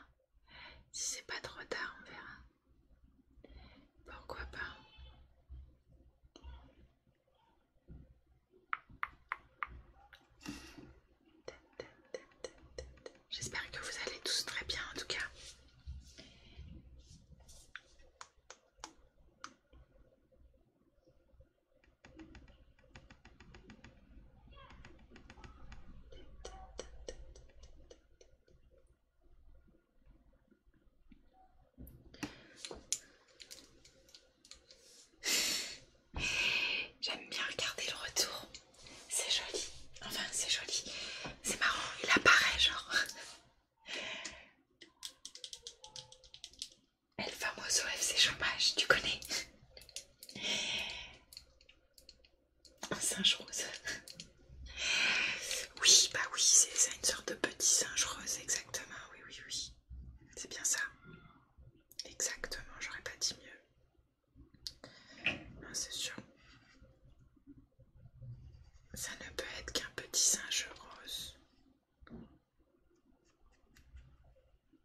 Si c'est pas trop tard, on verra. Pourquoi pas J'espère que vous allez tous très bien en tout cas. J'aime bien regarder le retour. C'est joli. Enfin, c'est joli. C'est marrant, il apparaît genre. El famoso FC chômage, tu connais un singe rose. Oui, bah oui, c'est ça, une sorte de petit singe rose, exactement. Oui, oui, oui. C'est bien ça. Exactement, j'aurais pas dit mieux. c'est sûr. Ça ne peut être qu'un petit singe rose.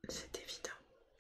C'est évident.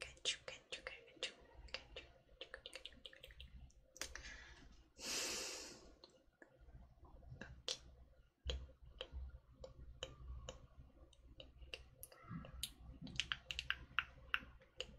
Catch you, catch you, catch you, catch you, Okay. Okay.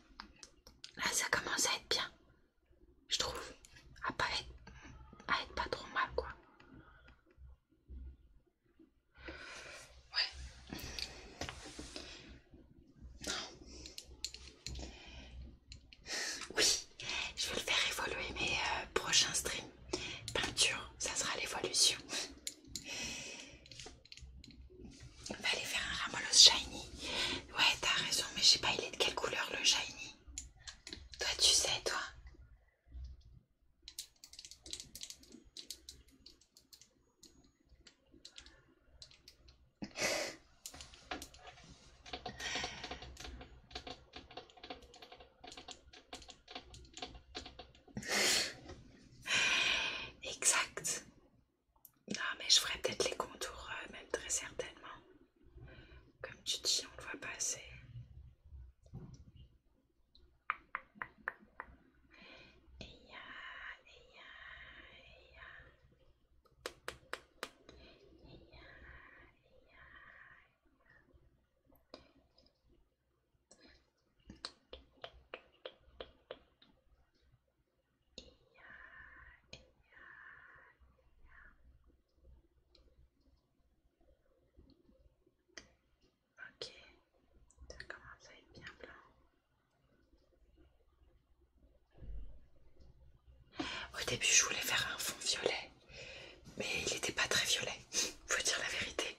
Là, ça commence à être bien. Je trouve. À pas être, trop mal, quoi. Ouais. Non. Oui, je vais le faire évoluer mes euh, prochains streams. Peinture, ça sera l'évolution. On va aller faire un Ramolos Shiny. Ouais, t'as raison, mais je sais pas, il est de quelle couleur le Shiny Toi, tu sais, toi Exact. Non, ah, mais je ferai peut-être les contours, euh, même très certainement. Comme tu dis, on le voit pas assez. Ok, ça commence à être bien blanc. Au début, je voulais faire un fond violet, mais il n'était pas très violet, faut dire la vérité.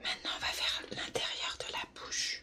Maintenant, on va vers l'intérieur de la bouche.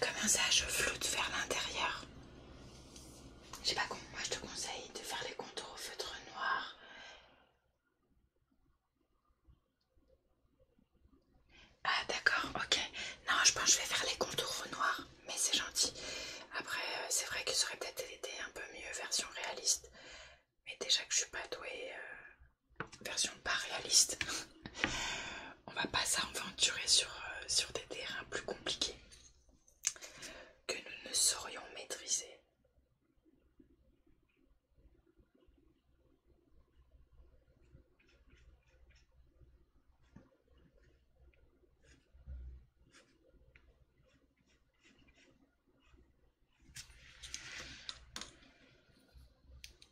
Comment ça, je floute vers l'intérieur Je sais pas comment, moi je te conseille de faire les contours au feutre noir. Ah d'accord, ok. Non, je pense que je vais faire les contours au noir, mais c'est gentil. Après, euh, c'est vrai que ça aurait peut-être été un peu mieux version réaliste. Mais déjà que je suis pas douée, euh, version pas réaliste. on va pas s'aventurer sur, euh, sur des terrains plus compliqués que nous ne saurions maîtriser.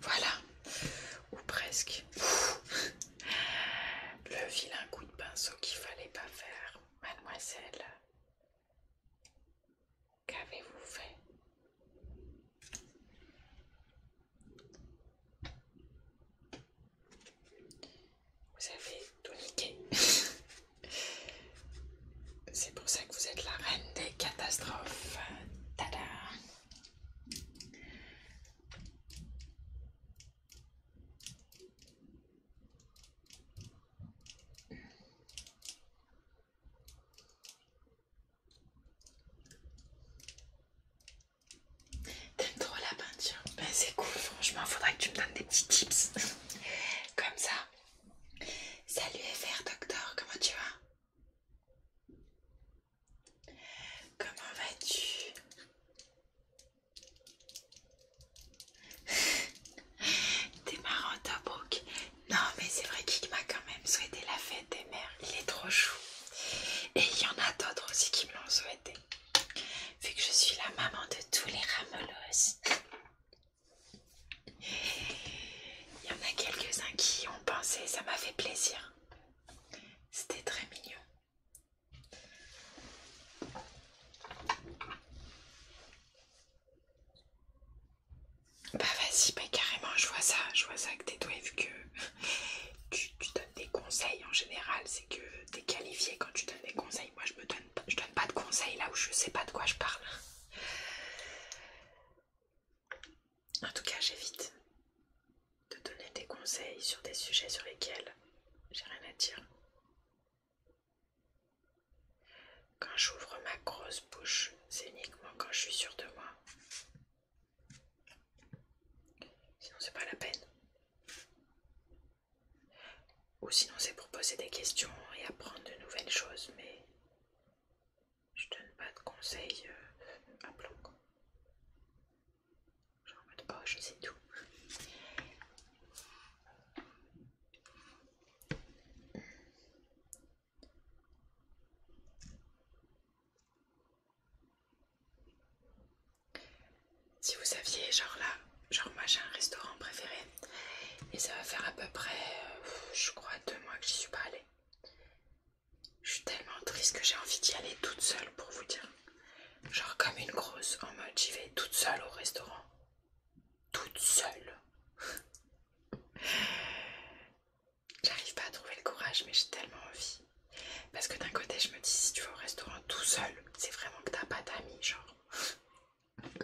Voilà, ou presque. Le vilain coup de pinceau qu'il fallait pas faire, mademoiselle. Qu'avez-vous fait Vous avez tout niqué. C'est pour ça que vous êtes la reine des catastrophes. Tada T'aimes trop la peinture Ben c'est cool, franchement, faudrait que tu me donnes des petits tips. Comme ça, Salut FR Docteur, comment tu vas Comment vas-tu T'es marrant Tobruk Non mais c'est vrai qu'il m'a quand même souhaité la fête des mères, il est trop chou. Et il y en a d'autres aussi qui me l'ont souhaité. Vu que je suis la maman de tous les ramelos. Il y en a quelques-uns qui y ont pensé, ça m'a fait plaisir. C'était très mignon. Bah vas-y, bah, carrément, je vois ça, je vois ça que t'es doué vu que tu, donnes des conseils en général, c'est que t'es qualifié quand tu donnes des conseils. Moi je me donne je donne pas de conseils là où je sais pas de quoi je parle. En tout cas, j'évite de donner des conseils sur des sujets sur lesquels j'ai rien à dire. Quand j'ouvre ma grosse bouche, c'est uniquement quand je suis sûre de moi. Sinon, c'est pas la peine. Ou sinon, c'est pour poser des questions et apprendre de nouvelles choses, mais je donne pas de conseils euh, à blanc. Genre de poche, c'est je tout. Si vous saviez, genre là, genre moi j'ai un restaurant préféré et ça va faire à peu près, euh, je crois, deux mois que j'y suis pas allée. Je suis tellement triste que j'ai envie d'y aller toute seule pour vous dire. Genre comme une grosse, en mode j'y vais toute seule au restaurant. Toute seule. J'arrive pas à trouver le courage, mais j'ai tellement envie. Parce que d'un côté, je me dis si tu vas au restaurant tout seul, c'est vraiment que t'as pas d'amis, genre.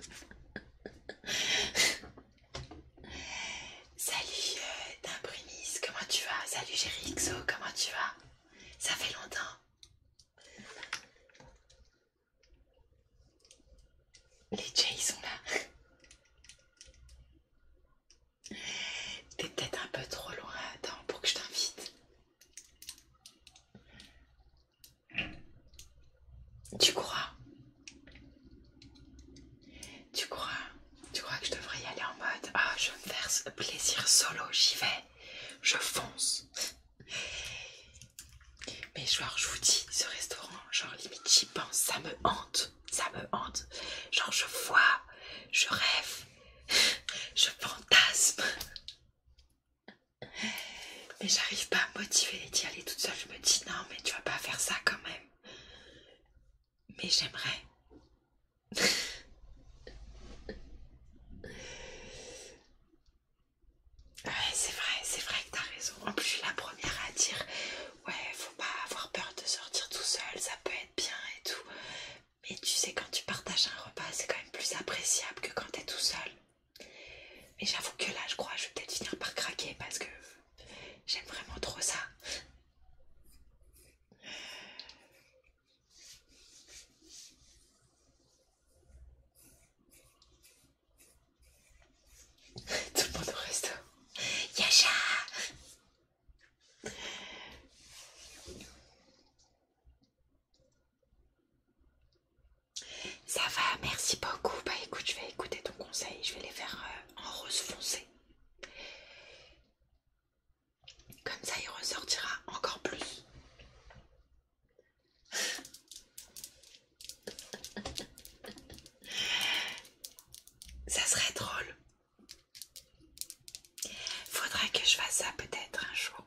Salut euh, d'imprimis, comment tu vas Salut Xo, comment tu vas Ça fait longtemps Les Jays sont là T'es peut-être un peu trop loin, attends pour que je t'invite tu crois Tu crois Tu crois que je devrais y aller en mode Ah, je me verse plaisir solo, j'y vais, je fonce. Mais genre, je vous dis, ce restaurant, genre limite j'y pense, ça me hante, ça me hante. Genre, je vois, je rêve, je fantasme. Mais j'arrive pas à me motiver d'y aller toute seule. Je me dis non, mais tu vas pas faire ça quand même. Mais j'aimerais. Ouais, c'est vrai, c'est vrai que t'as raison. En plus, je suis la première à dire Ouais, faut pas avoir peur de sortir tout seul, ça peut être bien et tout. Mais tu sais, quand tu partages un repas, c'est quand même plus appréciable que quand t'es tout seul. Mais j'avoue que là, je crois, je vais peut-être finir par craquer parce que J'aime vraiment trop ça. Tout le monde au resto. Yasha Ça va, merci beaucoup. Bah écoute, je vais écouter ton conseil, je vais les faire euh, en rose foncé. Comme ça, il ressortira encore plus. ça serait drôle. Faudrait que je fasse ça peut-être un jour.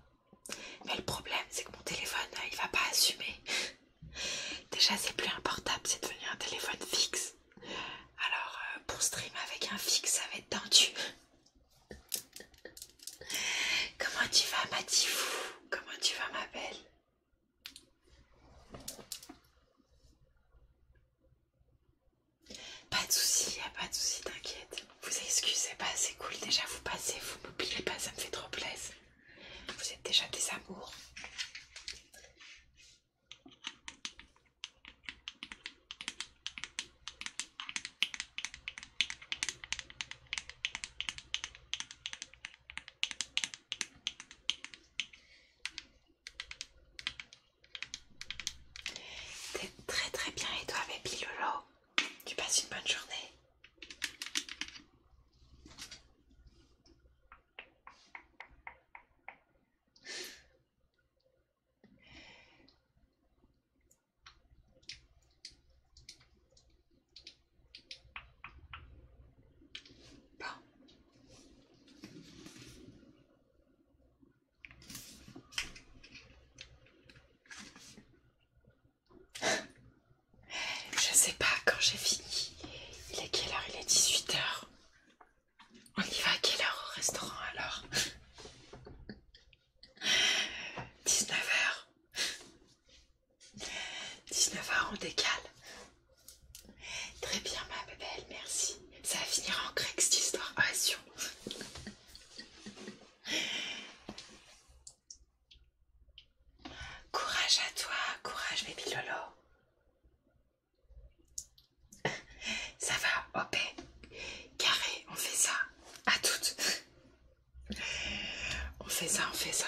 Mais le problème, c'est que mon téléphone, euh, il va pas assumer. Déjà c'est plus un portable, c'est devenu un téléphone fixe. Alors euh, pour stream avec un fixe ça va être tendu. Comment tu vas Matifou Comment tu vas ma belle Pas de soucis, pas de soucis, t'inquiète. Vous excusez pas, c'est cool. Déjà vous passez, vous m'oubliez pas, ça me fait trop plaisir. Vous êtes déjà des amours. T'es très très bien et toi bébé Lolo Tu passes une bonne journée Je sais pas quand j'ai fini. Il est quelle heure Il est 18h. On y va à quelle heure au restaurant alors 19h. 19h, on décale. Très bien, ma belle, merci. Ça va finir en grec cette histoire. Ah, Courage à toi, courage, bébé Lolo. Ça va, hop, carré, on fait ça, à toutes. On fait ça, on fait ça.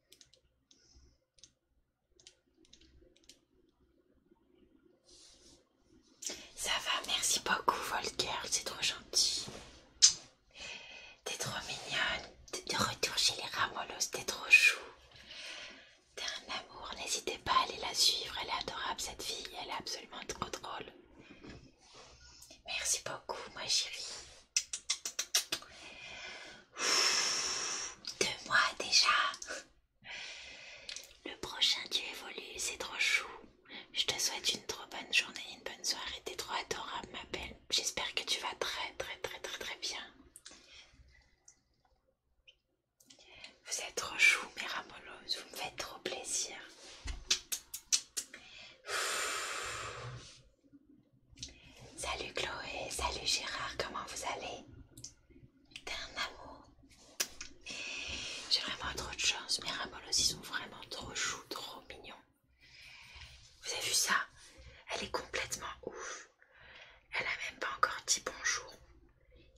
Ça va, merci beaucoup Volker, c'est trop gentil. T'es trop mignonne. De retour chez les Ramolos, t'es trop chou. T'es un amour, n'hésitez pas à aller la suivre, elle est adorable cette fille, elle est absolument trop drôle. Merci beaucoup ma chérie. Deux mois déjà. Le prochain tu évolues, c'est trop chou. Je te souhaite une trop bonne journée, une bonne soirée. T'es trop adorable, ma belle. J'espère que tu vas très très très très très bien. Vous êtes trop chou, mes ramolos, Vous me faites trop plaisir. Salut Chloé, salut Gérard, comment vous allez T'es un amour. J'ai vraiment trop de chance. Mes ramolos, ils sont vraiment trop choux, trop mignons. Vous avez vu ça Elle est complètement ouf. Elle a même pas encore dit bonjour.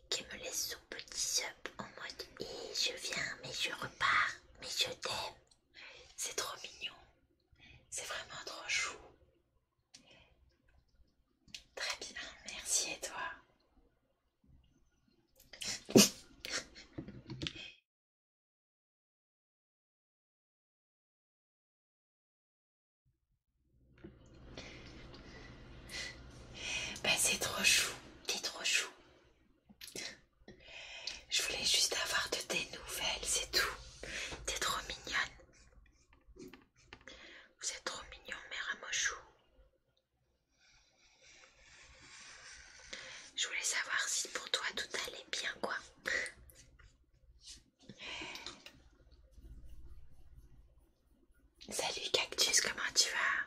Qui me laisse son petit sup en mode Et eh, je viens, mais je repars, mais je t'aime. C'est trop mignon. C'est vraiment trop chou. Très bien, merci et toi Ben c'est trop chou, t'es trop chou. Je voulais juste avoir de tes nouvelles, c'est tout. T'es trop mignonne. Vous êtes trop mignon, mère Je voulais savoir si pour toi tout allait bien, quoi. Salut Cactus, comment tu vas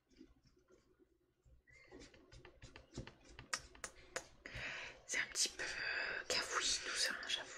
C'est un petit peu euh, cafouillé tout ça, hein, j'avoue.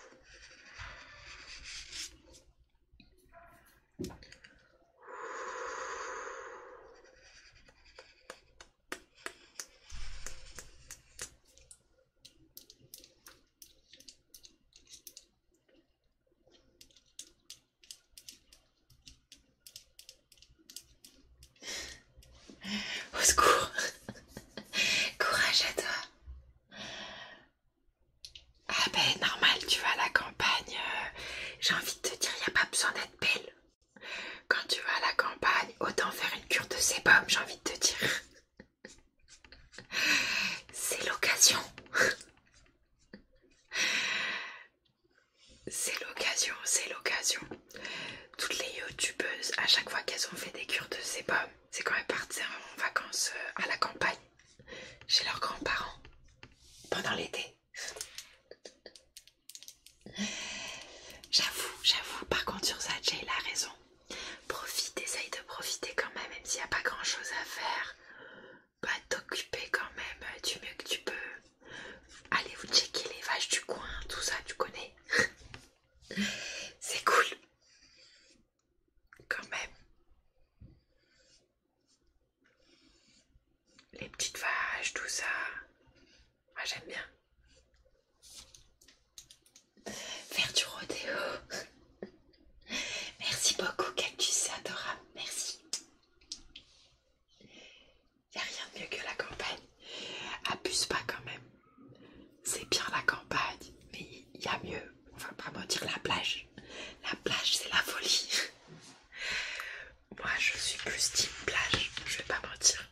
Au secours. Courage à toi. Ah ben normal, tu vas à la campagne. Euh, j'ai envie de te dire, il n'y a pas besoin d'être belle. Quand tu vas à la campagne, autant faire une cure de sébum, j'ai envie de te dire. C'est l'occasion. C'est l'occasion, c'est l'occasion. Toutes les youtubeuses, à chaque fois qu'elles ont fait des cures de sébum, c'est quand elles partent en vacances euh, à la campagne, chez leurs grands-parents, pendant l'été. J'avoue, j'avoue, par contre sur ça, Jay a raison. Profite, essaye de profiter quand même, même s'il n'y a pas grand chose à faire. Pas bah, t'occuper quand même euh, du mieux que tu peux. Allez vous checker les vaches du coin, tout ça, tu connais. C'est cool. Quand même. Les petites vaches, tout ça. Moi ah, j'aime bien. Faire du rodéo. Merci beaucoup, Cactus, c'est adorable. Merci. Il n'y a rien de mieux que la campagne. Abuse pas quand même. C'est bien la campagne, mais il y a mieux. On va pas mentir, la plage. La plage, c'est la folie. Moi, je suis plus type plage, je vais pas mentir.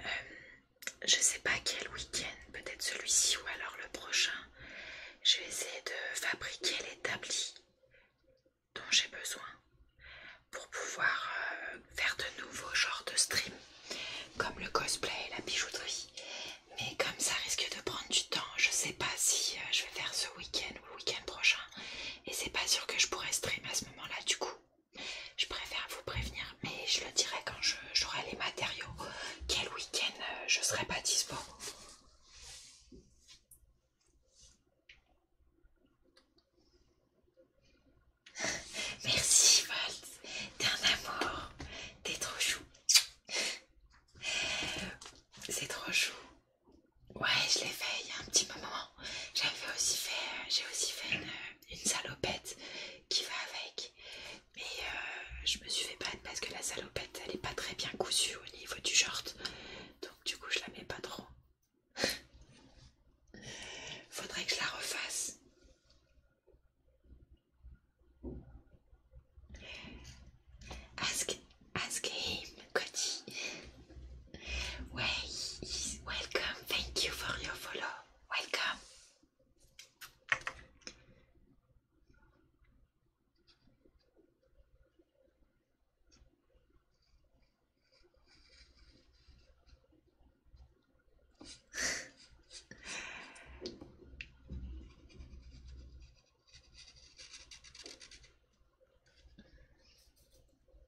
Euh, je sais pas quel week-end, peut-être celui-ci ou alors le prochain. Je vais essayer de fabriquer l'établi dont j'ai besoin pour pouvoir euh, faire de nouveaux genres de streams comme le cosplay et la bijouterie. Mais comme ça risque de prendre du temps, je sais pas si euh, je vais faire ce week-end le week-end prochain et c'est pas sûr que je pourrais stream à ce moment là du coup je préfère vous prévenir mais je le dirai quand j'aurai les matériaux quel week-end euh, je serai pas dispo Merci Walt, t'es un amour, t'es trop chou. C'est trop chou. Ouais, je l'ai fait il y a un petit moment. J'avais aussi fait, euh, j'ai aussi fait euh, une, salopette qui va avec. Mais euh, je me suis fait battre parce que la salopette, elle est pas très bien cousue au niveau du short. Donc du coup, je la mets pas trop. Faudrait que je la refasse. Ask ask him, Cody. Where welcome. Thank you for your follow. Welcome.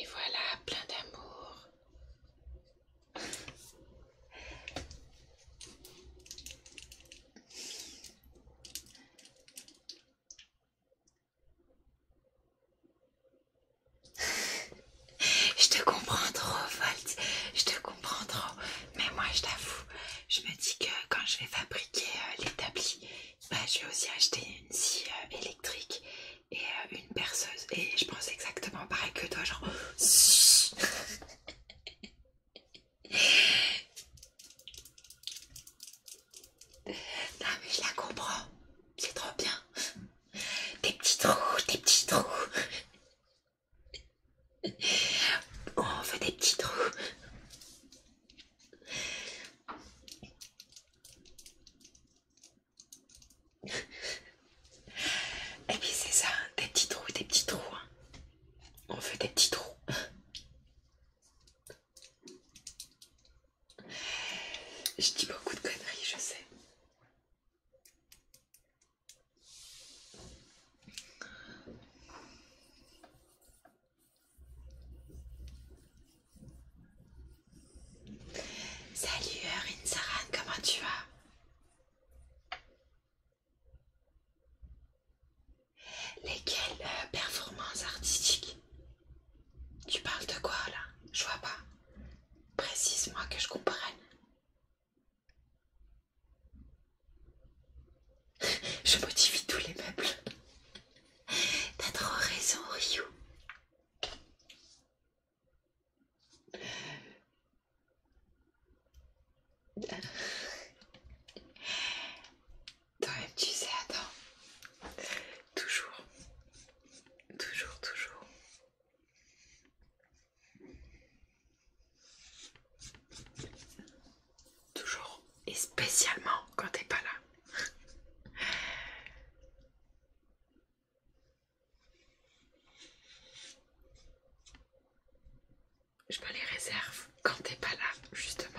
Et voilà, plein d'amour je te comprends trop, Volt. Je te comprends trop. Mais moi, je t'avoue, je me dis que quand je vais fabriquer euh, l'établi, bah, je vais aussi acheter une scie euh, électrique et euh, une perceuse. Et je pense exactement pareil que toi, genre... Non mais je la comprends, c'est trop bien. Oh, des petits trous, des eh petits trous. On veut des petits trous. Et puis c'est ça, des petits trous, des petits trous. Hein. On veut des petits trous. Je dis beaucoup de conneries, je sais. Salut euh, Rin Saran, comment tu vas Lesquelles euh, performances artistiques tu parles de quoi là Je vois pas. Précise-moi que je comprenne. Je modifie tous les meubles. T'as trop raison, Ryu. toi tu sais, attends. Toujours. Toujours, toujours. Toujours. Et spécialement quand t'es pas là. Je me les réserve quand t'es pas là, justement.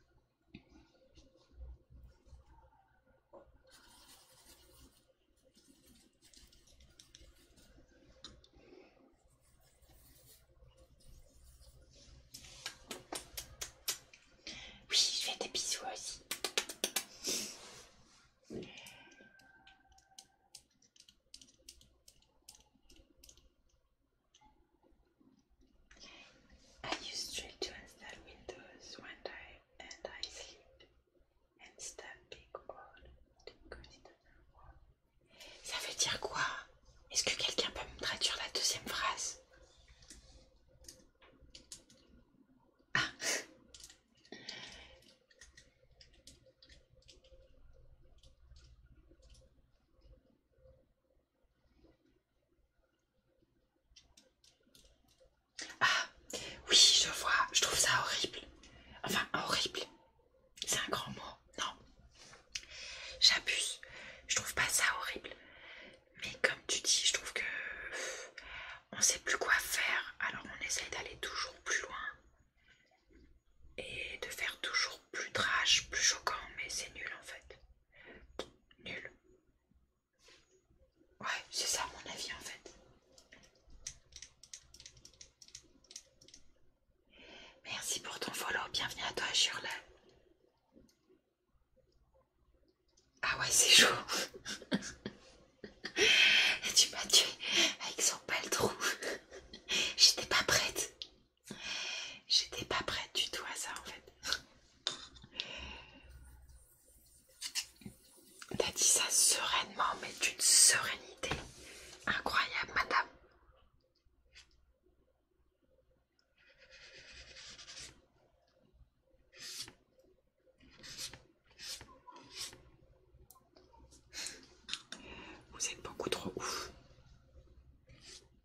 Oui, je fais des bisous aussi. I use Drill to install Windows when I and I sleep and start big Wall. because it doesn't Ça veut dire quoi Est-ce que quelqu'un peut me traduire la deuxième phrase ah. Ah, oui, je vois, je trouve ça horrible. Enfin, horrible. C'est un grand mot, non. J'abuse. Je trouve pas ça horrible. Mais comme tu dis, je trouve que on sait plus quoi faire. Alors on essaie d'aller toujours plus loin. Et de faire toujours plus trash, plus choquant, mais c'est nul en fait. Nul. Ouais, c'est ça mon avis en fait. Merci pour ton follow, bienvenue à toi la Ah ouais, c'est chaud. tu m'as tué avec son pelle-trou. J'étais pas prête. J'étais pas prête du tout à ça en fait. T'as dit ça sereinement, mais d'une sérénité incroyable, madame. Vous êtes beaucoup trop ouf.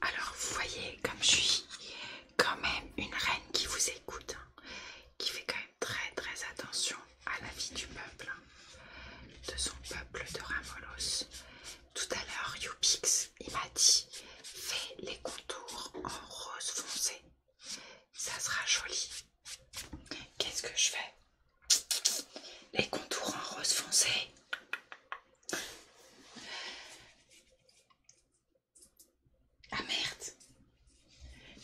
Alors, vous voyez, comme je suis quand même une reine qui vous écoute, hein, qui fait quand même très très attention à la vie du peuple, hein, de son peuple de Ramolos. Tout à l'heure, Youpix il m'a dit, fais les contours en rose foncé ça sera joli. Qu'est-ce que je fais Les contours en rose foncé. Ah merde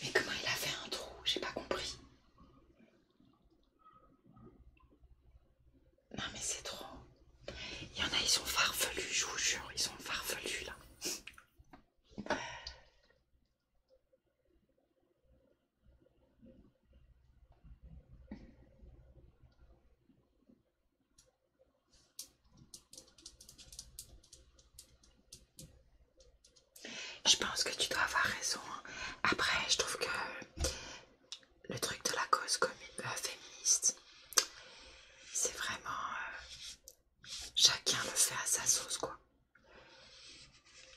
Mais comment il a fait un trou J'ai pas compris. Non mais c'est trop. Il y en a, ils sont farfelus, je vous jure, ils sont farfelus là. Je pense que tu dois avoir raison. Hein. Après, je trouve que le truc de la cause commune, euh, féministe, c'est vraiment euh, Chacun le fait à sa sauce, quoi.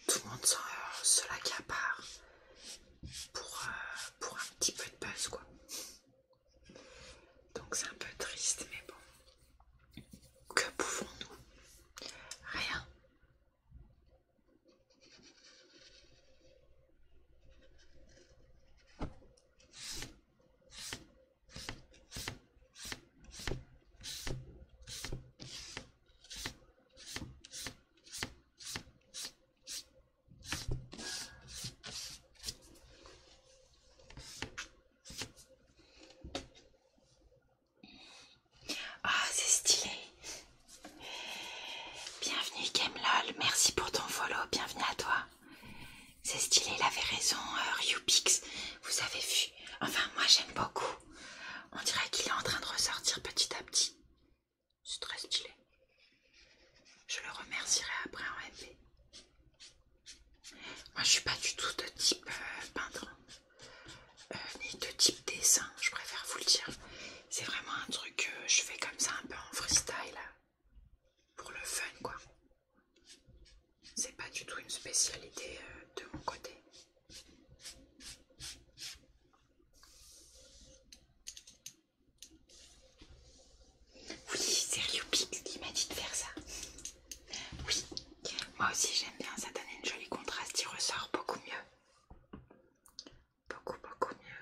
Tout le monde se l'accapare pour, euh, pour un petit peu de buzz, quoi. Donc c'est un peu triste, mais bon. Que pouvons-nous Rien. Ah, c'est stylé. Bienvenue Gamelol, merci pour ton follow, bienvenue à toi. C'est stylé, il avait raison, euh, Ryu vous avez vu. Enfin, moi j'aime beaucoup. On dirait qu'il est en train de ressortir petit à petit. C'est très stylé. Je le remercierai après en MP. Moi je suis pas du tout de type euh, peintre, euh, ni de type dessin, je préfère vous le dire. C'est vraiment un truc que je fais comme ça un peu en freestyle, pour le fun quoi. C'est pas du tout une spécialité euh, de mon côté. Oui, c'est Ryupix qui m'a dit de faire ça. Oui, moi aussi j'aime bien, ça donne une jolie contraste, il ressort beaucoup mieux. Beaucoup, beaucoup mieux.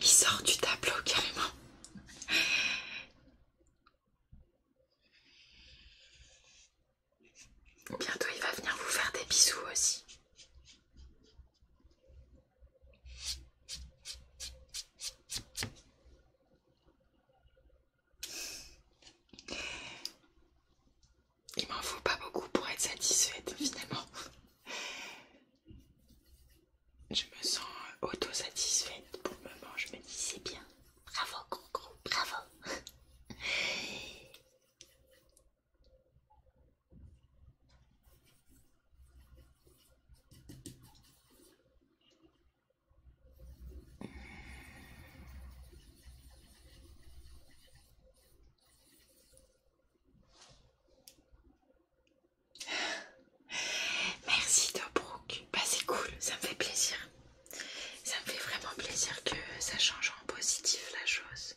Il sort du tableau carrément. Bientôt il va venir vous faire des bisous aussi. Il m'en faut pas beaucoup pour être satisfaite finalement. Je me sens auto-satisfaite pour le moment. Je me dis c'est bien. Bravo, gros, gros, bravo. Merci Dobrook, bah, c'est cool, ça me fait plaisir. Ça me fait vraiment plaisir que ça change en positif la chose.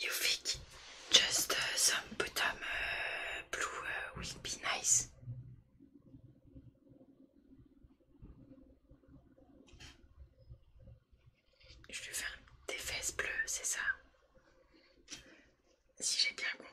you think just euh, some bottom um, euh, blue euh, will be nice? Je vais faire des fesses bleues, c'est ça Si j'ai bien compris.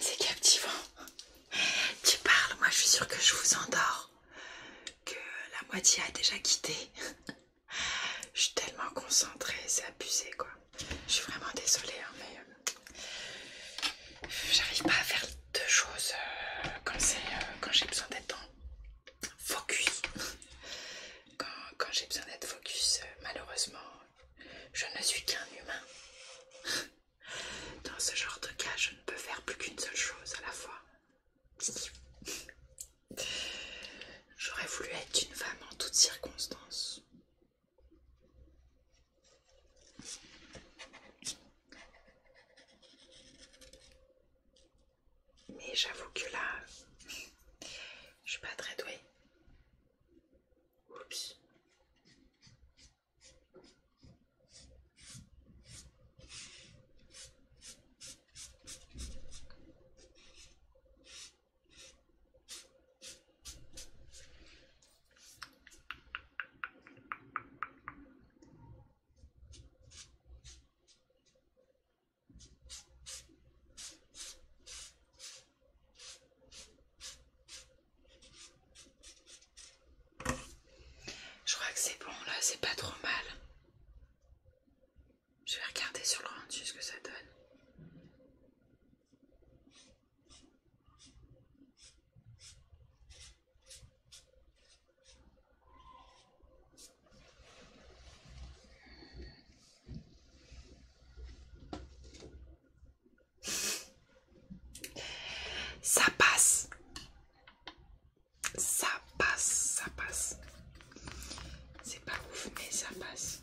C'est captivant. Tu parles, moi je suis sûr que je vous endors. Que la moitié a déjà quitté. Je suis tellement concentrée, c'est abusé quoi. Je suis vraiment désolée, hein, mais euh, j'arrive pas à faire deux choses euh, quand, euh, quand j'ai besoin d'être dans focus. Quand, j'ai besoin d'être focus, euh, malheureusement, je ne suis qu'un humain. Dans ce genre de cas, je ne peux faire plus qu'une seule chose à la fois. J'aurais voulu être une femme en toutes circonstances. Mais j'avoue que là, je suis pas très douée. Oups. Je crois que c'est bon là, c'est pas trop mal. Je vais regarder sur le rendu ce que ça donne. Ça passe. Ça passe, ça passe. C'est pas ouf, mais ça passe.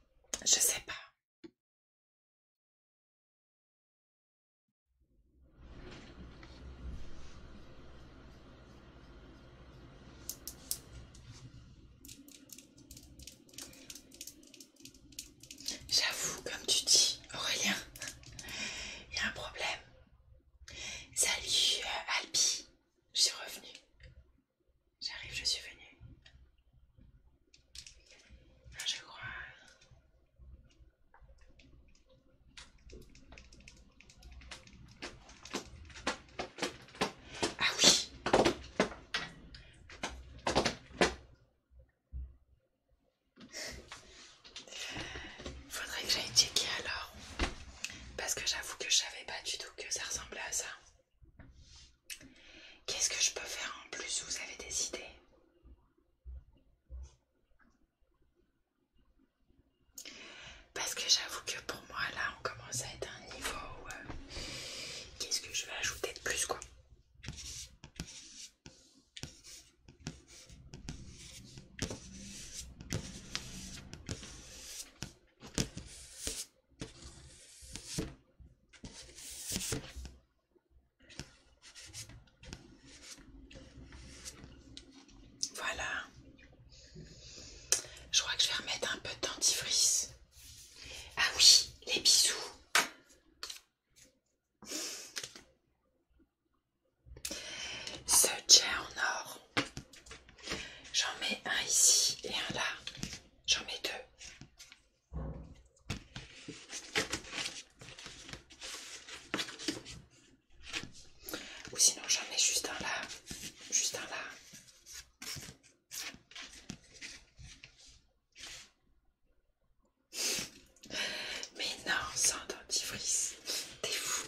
Je sais pas. J'avoue, comme tu dis, Aurélien, il y a un problème. Salut, euh, Alpi, je suis revenue. J'arrive, je suis venue. Je crois. Ah oui. Faudrait que j'aille checker alors. Parce que j'avoue que je savais pas du tout que ça ressemblait à ça. Qu'est-ce que je peux faire en plus Vous avez des idées Parce que j'avoue que pour moi, là, on commence à être à un niveau où... Euh, qu'est-ce que je vais ajouter de plus, quoi voilà. Je crois que je vais remettre un peu de dentifrice. Ah oui, les bisous. Ce chair en or. J'en mets un ici et un là. J'en mets deux. Ou sinon j'en mets juste un là. Juste un là. Mais non, sans dentifrice, t'es fou.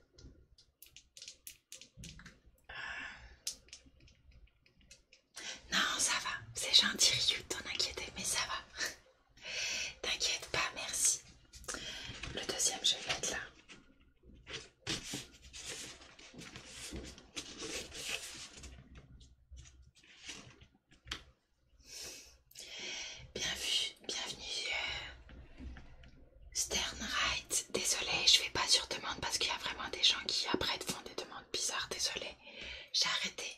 Non, ça va. C'est gentil, Ryu, t'en inquiéter, mais ça va. T'inquiète pas, merci. Le deuxième, je vais être là. Bienvenue, bienvenue Sternright, désolé, Désolée, je vais pas sur demande parce qu'il y a vraiment des gens qui après font des demandes bizarres. désolé j'ai arrêté.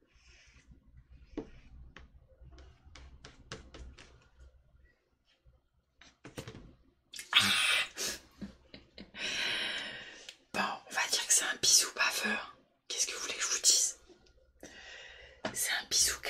Ah. bon, on va dire que c'est un bisou baveur. Qu'est-ce que vous voulez que je vous dise C'est un bisou qui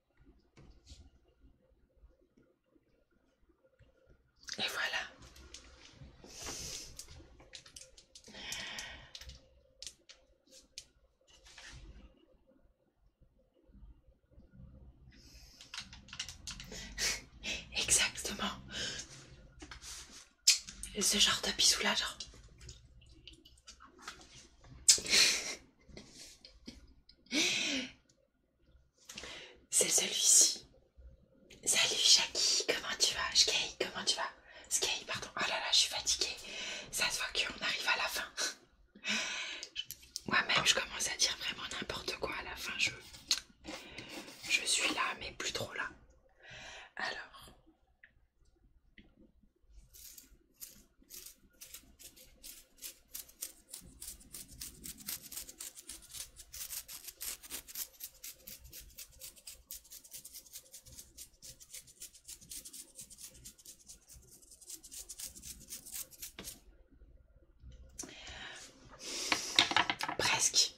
Et voilà. Exactement. Ce genre de sous C'est celui-ci. Salut Jackie, comment tu vas Skye, comment tu vas Skye, pardon. Oh là là, je suis fatiguée. Ça se voit qu'on arrive à la fin. Moi-même, je commence à dire vraiment n'importe quoi à la fin. Je, je suis là, mais plus trop là. Alors, Presque,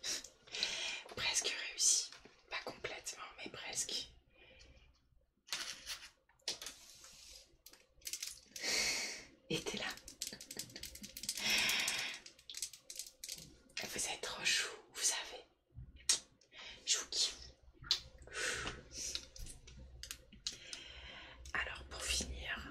presque réussi, pas complètement, mais presque. Et t'es là. Vous êtes trop chou, vous savez. Je vous Alors pour finir,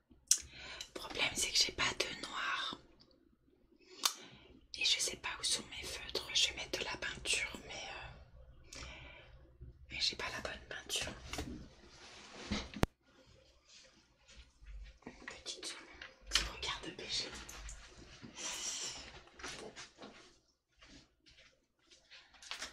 Le problème c'est que j'ai pas de noir. Et je sais pas où sont mes feutres. Je vais mettre de la peinture, mais, euh, mais j'ai pas la bonne peinture. Une petite zone qui regard de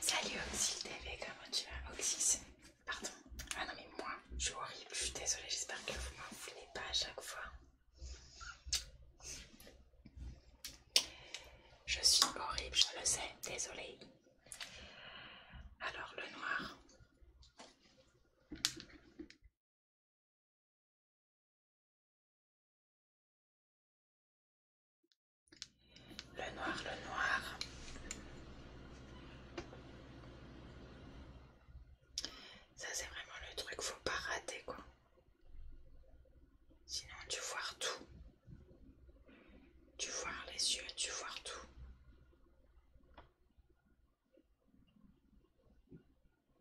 Salut Oxy TV, comment tu vas Oxy, Pardon. Ah non mais moi, je suis horrible, je suis désolée, j'espère que vous ne m'en voulez pas à chaque fois. Je suis horrible, je le sais, désolée. Alors le noir. Le noir, le noir. Ça c'est vraiment le truc, faut pas rater quoi. Sinon tu vois tout. Tu vois les yeux, tu vois tout.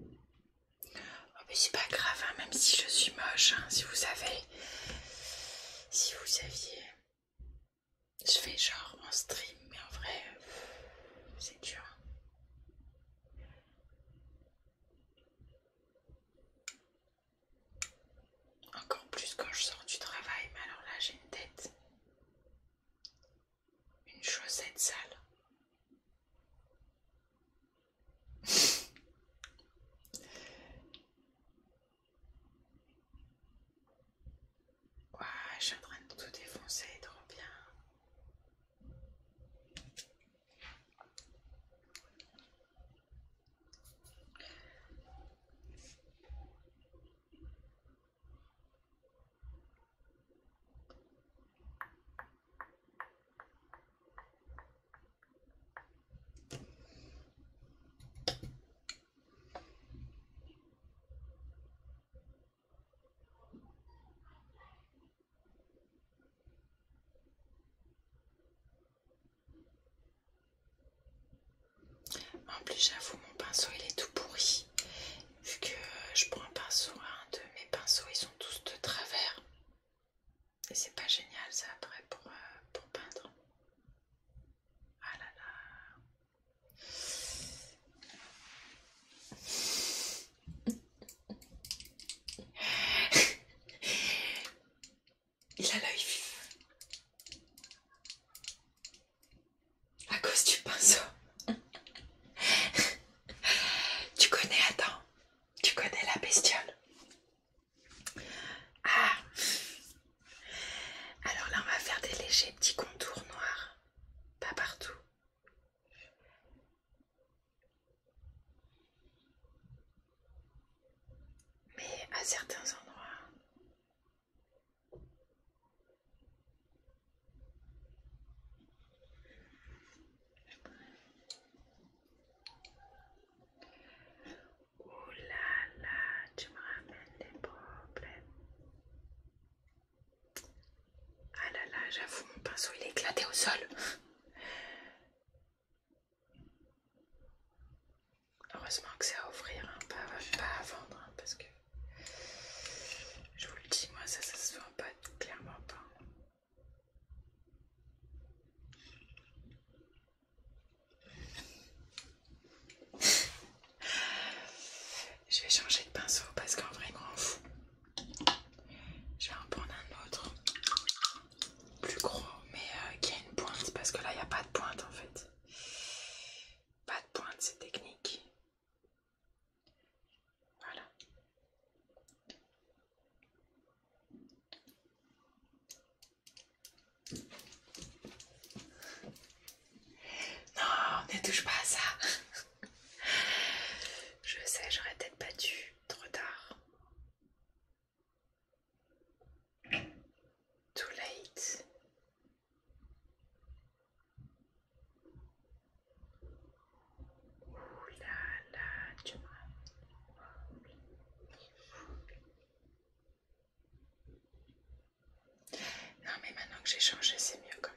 Oh mais c'est pas grave, hein, même si je suis moche, hein, si vous savez, si vous saviez, je fais genre en stream, mais en vrai, euh, c'est dur. Encore plus quand je sors du travail, mais alors là j'ai une tête. Une chaussette sale. Ouais, je en train de tout défoncer, trop bien. En plus, j'avoue, mon pinceau il est tout pourri vu que je prends un pinceau, un de mes pinceaux, ils sont tous de travers. Et c'est pas génial ça après pour, euh, pour peindre. Ah là là. Il a l'œil à cause du pinceau. tu connais, attends, tu connais la bestiole. Ah Alors là, on va faire des légers petits contours noirs. Pas partout. Mais à certains endroits. Oh là là, tu me ramènes des problèmes. Ah là là, j'avoue, mon pinceau il est éclaté au sol. Heureusement que c'est à offrir, hein, pas, à vendre, hein, parce que je vous le dis, moi ça, se voit pas, clairement pas. Je vais changer de pinceau parce qu'en vrai, grand fou. Je vais en prendre un autre, plus gros, mais euh, qui a une pointe parce que là, il n'y a pas de pointe en fait. Pas de pointe, c'est technique. Voilà. Non, ne touche pas à ça. Je sais, j'aurais peut-être pas trop tard. Too late. Non mais maintenant que j'ai changé, c'est mieux quand même.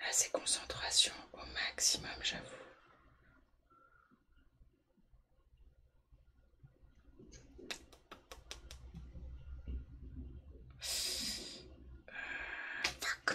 Là, c'est concentration au maximum, j'avoue. Euh,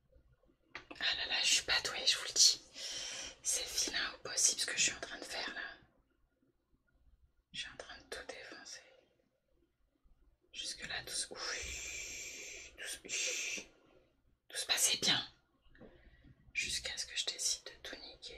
Ah là là, je suis pas douée, je vous le dis. C'est vilain au possible ce que je suis en train de faire là. Je suis en train de tout défoncer. Jusque là, tout se... Tout, se... tout se passait bien. Jusqu'à ce que je décide de tout niquer.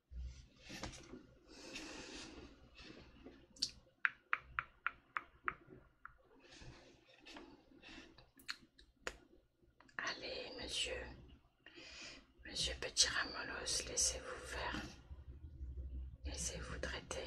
Allez, monsieur, monsieur Petit Ramolos, laissez-vous faire, laissez-vous traiter.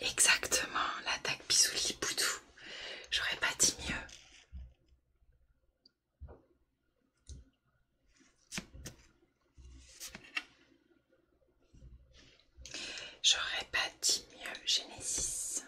Exactement, l'attaque Bisouli boutou J'aurais pas dit mieux. J'aurais pas dit mieux, Genesis.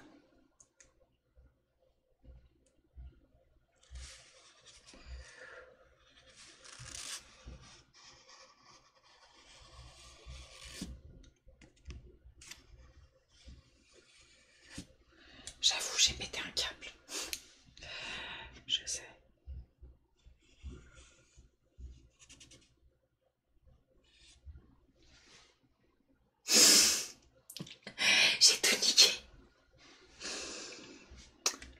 J'avoue, j'ai pété un câble. Je sais. J'ai tout niqué.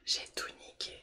J'ai tout niqué.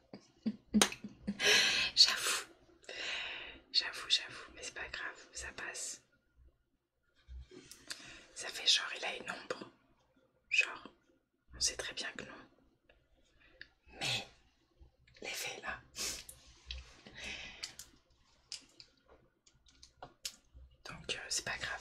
j'avoue, j'avoue, j'avoue, mais c'est pas grave, ça passe. Ça fait genre, il a une ombre. Genre, on sait très bien que non. Mais, l'effet là. Donc, euh, c'est pas grave.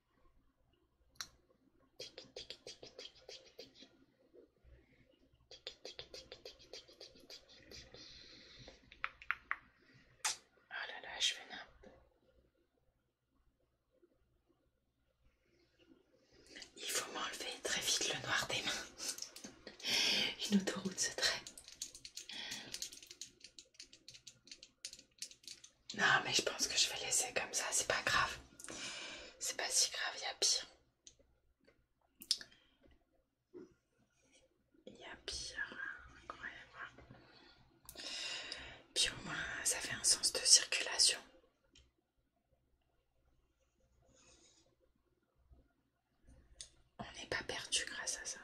Tic ah là je vais Il faut m'enlever très vite le noir des mains. Une autoroute se traîne. Non, mais je pense que je vais laisser comme ça, c'est pas grave. C'est pas si grave, il y a pire. Il y a pire, incroyable. Puis au moins, ça fait un sens de circulation. On n'est pas perdu grâce à ça.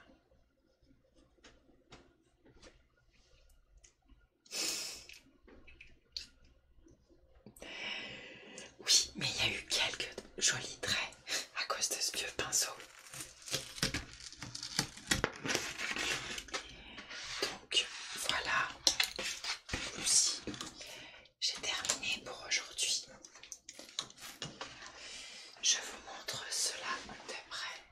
Oui, mais il y a eu quelques jolis traits à cause de ce vieux pinceau. Donc voilà, aussi j'ai terminé pour aujourd'hui. Je vous montre cela de près.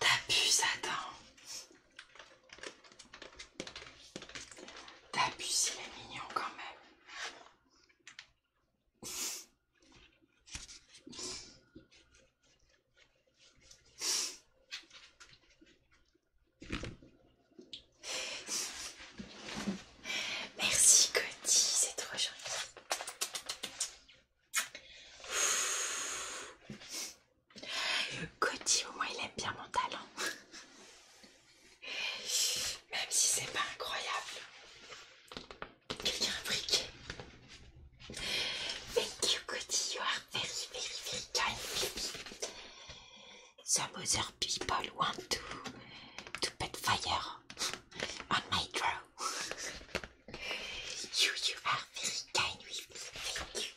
T'abuses, attends. T'as pu, est mignon quand même. Merci Cody, c'est trop gentil. Coty, au moins, il aime bien mon talent. Même si c'est pas incroyable. Quelqu'un a Thank you, Coty. You are very, very, very kind, baby. Some other people want to, to put fire on my draw. you, you are very kind with Thank you.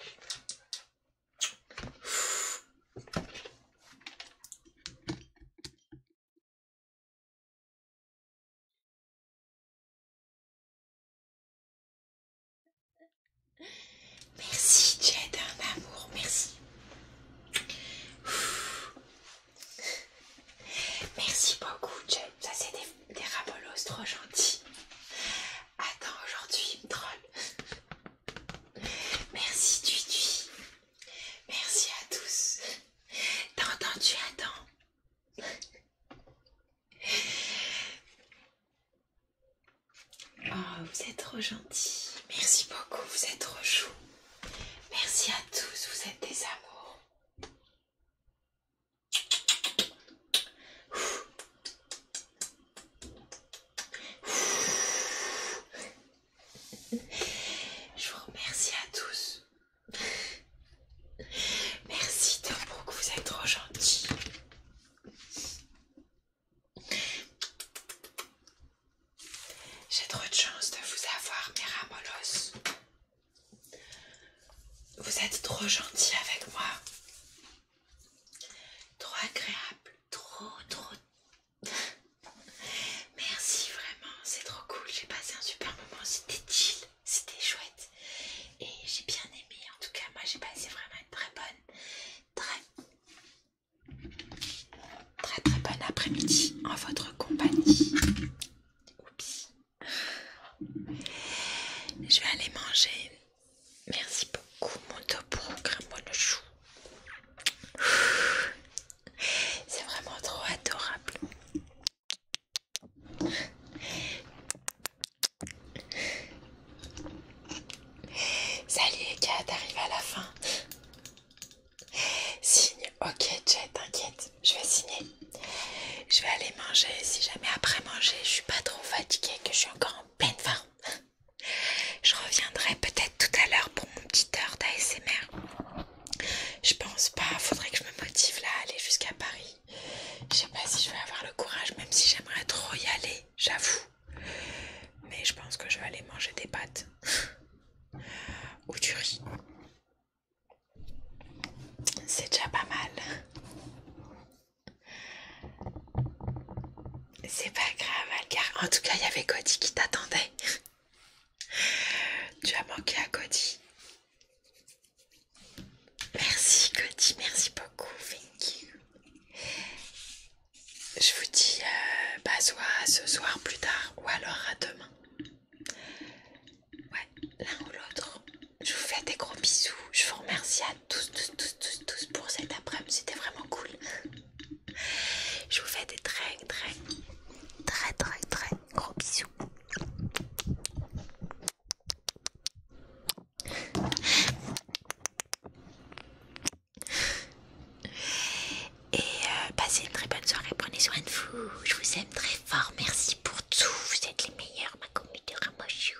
Merci Jed, un amour, merci. Merci beaucoup Jed, ça c'est des, des rabolos trop gentils. Attends, aujourd'hui il me troll. Merci Tui, Merci à tous. T'as entendu attends. Oh, vous êtes trop gentils. Merci beaucoup, vous êtes trop chou. Merci à tous, vous êtes des amours. Je vous remercie à tous. Merci de beaucoup, vous êtes trop gentils. J'ai trop de chance de vous avoir, Miramolos. Vous êtes trop gentils avec moi. Trop agréable, trop, trop. Merci vraiment, c'est trop cool. J'ai passé un super moment, c'était chill, c'était chouette. Et j'ai bien aimé, en tout cas, moi j'ai passé vraiment une très bonne, très, très, très bonne après-midi en votre compagnie. Je vais aller manger Merci beaucoup mon pour le le chou. C'est vraiment trop adorable. Salut les gars, t'arrives à la fin. Signe, ok Jet, t'inquiète, je vais signer. Je vais aller manger si jamais après manger je suis pas trop fatiguée que je suis encore en pleine forme. Je reviendrai peut-être tout à l'heure pour mon petit heure d'ASMR. Je pense pas, faudrait que je me motive là à aller jusqu'à Paris. Je sais pas si je vais avoir le courage, même si j'aimerais trop y aller, j'avoue. Mais je pense que je vais aller manger des pâtes ou du riz. C'est déjà pas mal. C'est pas grave, En tout cas, il y avait Cody qui t'attendait. tu as manqué à Cody. Merci Cody, merci beaucoup. Thank Je vous dis euh, bah, soit ce soir plus tard ou alors à demain. Ouais, l'un ou l'autre. Je vous fais des gros bisous. Je vous remercie à tous tous, pour cet après-midi. C'était vraiment cool. Je vous fais des très, très, très, très, très gros bisous. Et euh, passez une très bonne soirée, prenez soin de vous. Je vous aime très fort, merci pour tout. Vous êtes les meilleurs, ma communauté Ramochou.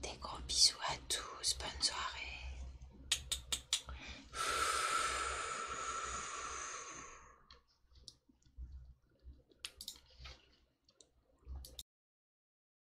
Des gros bisous à tous, bonne soirée.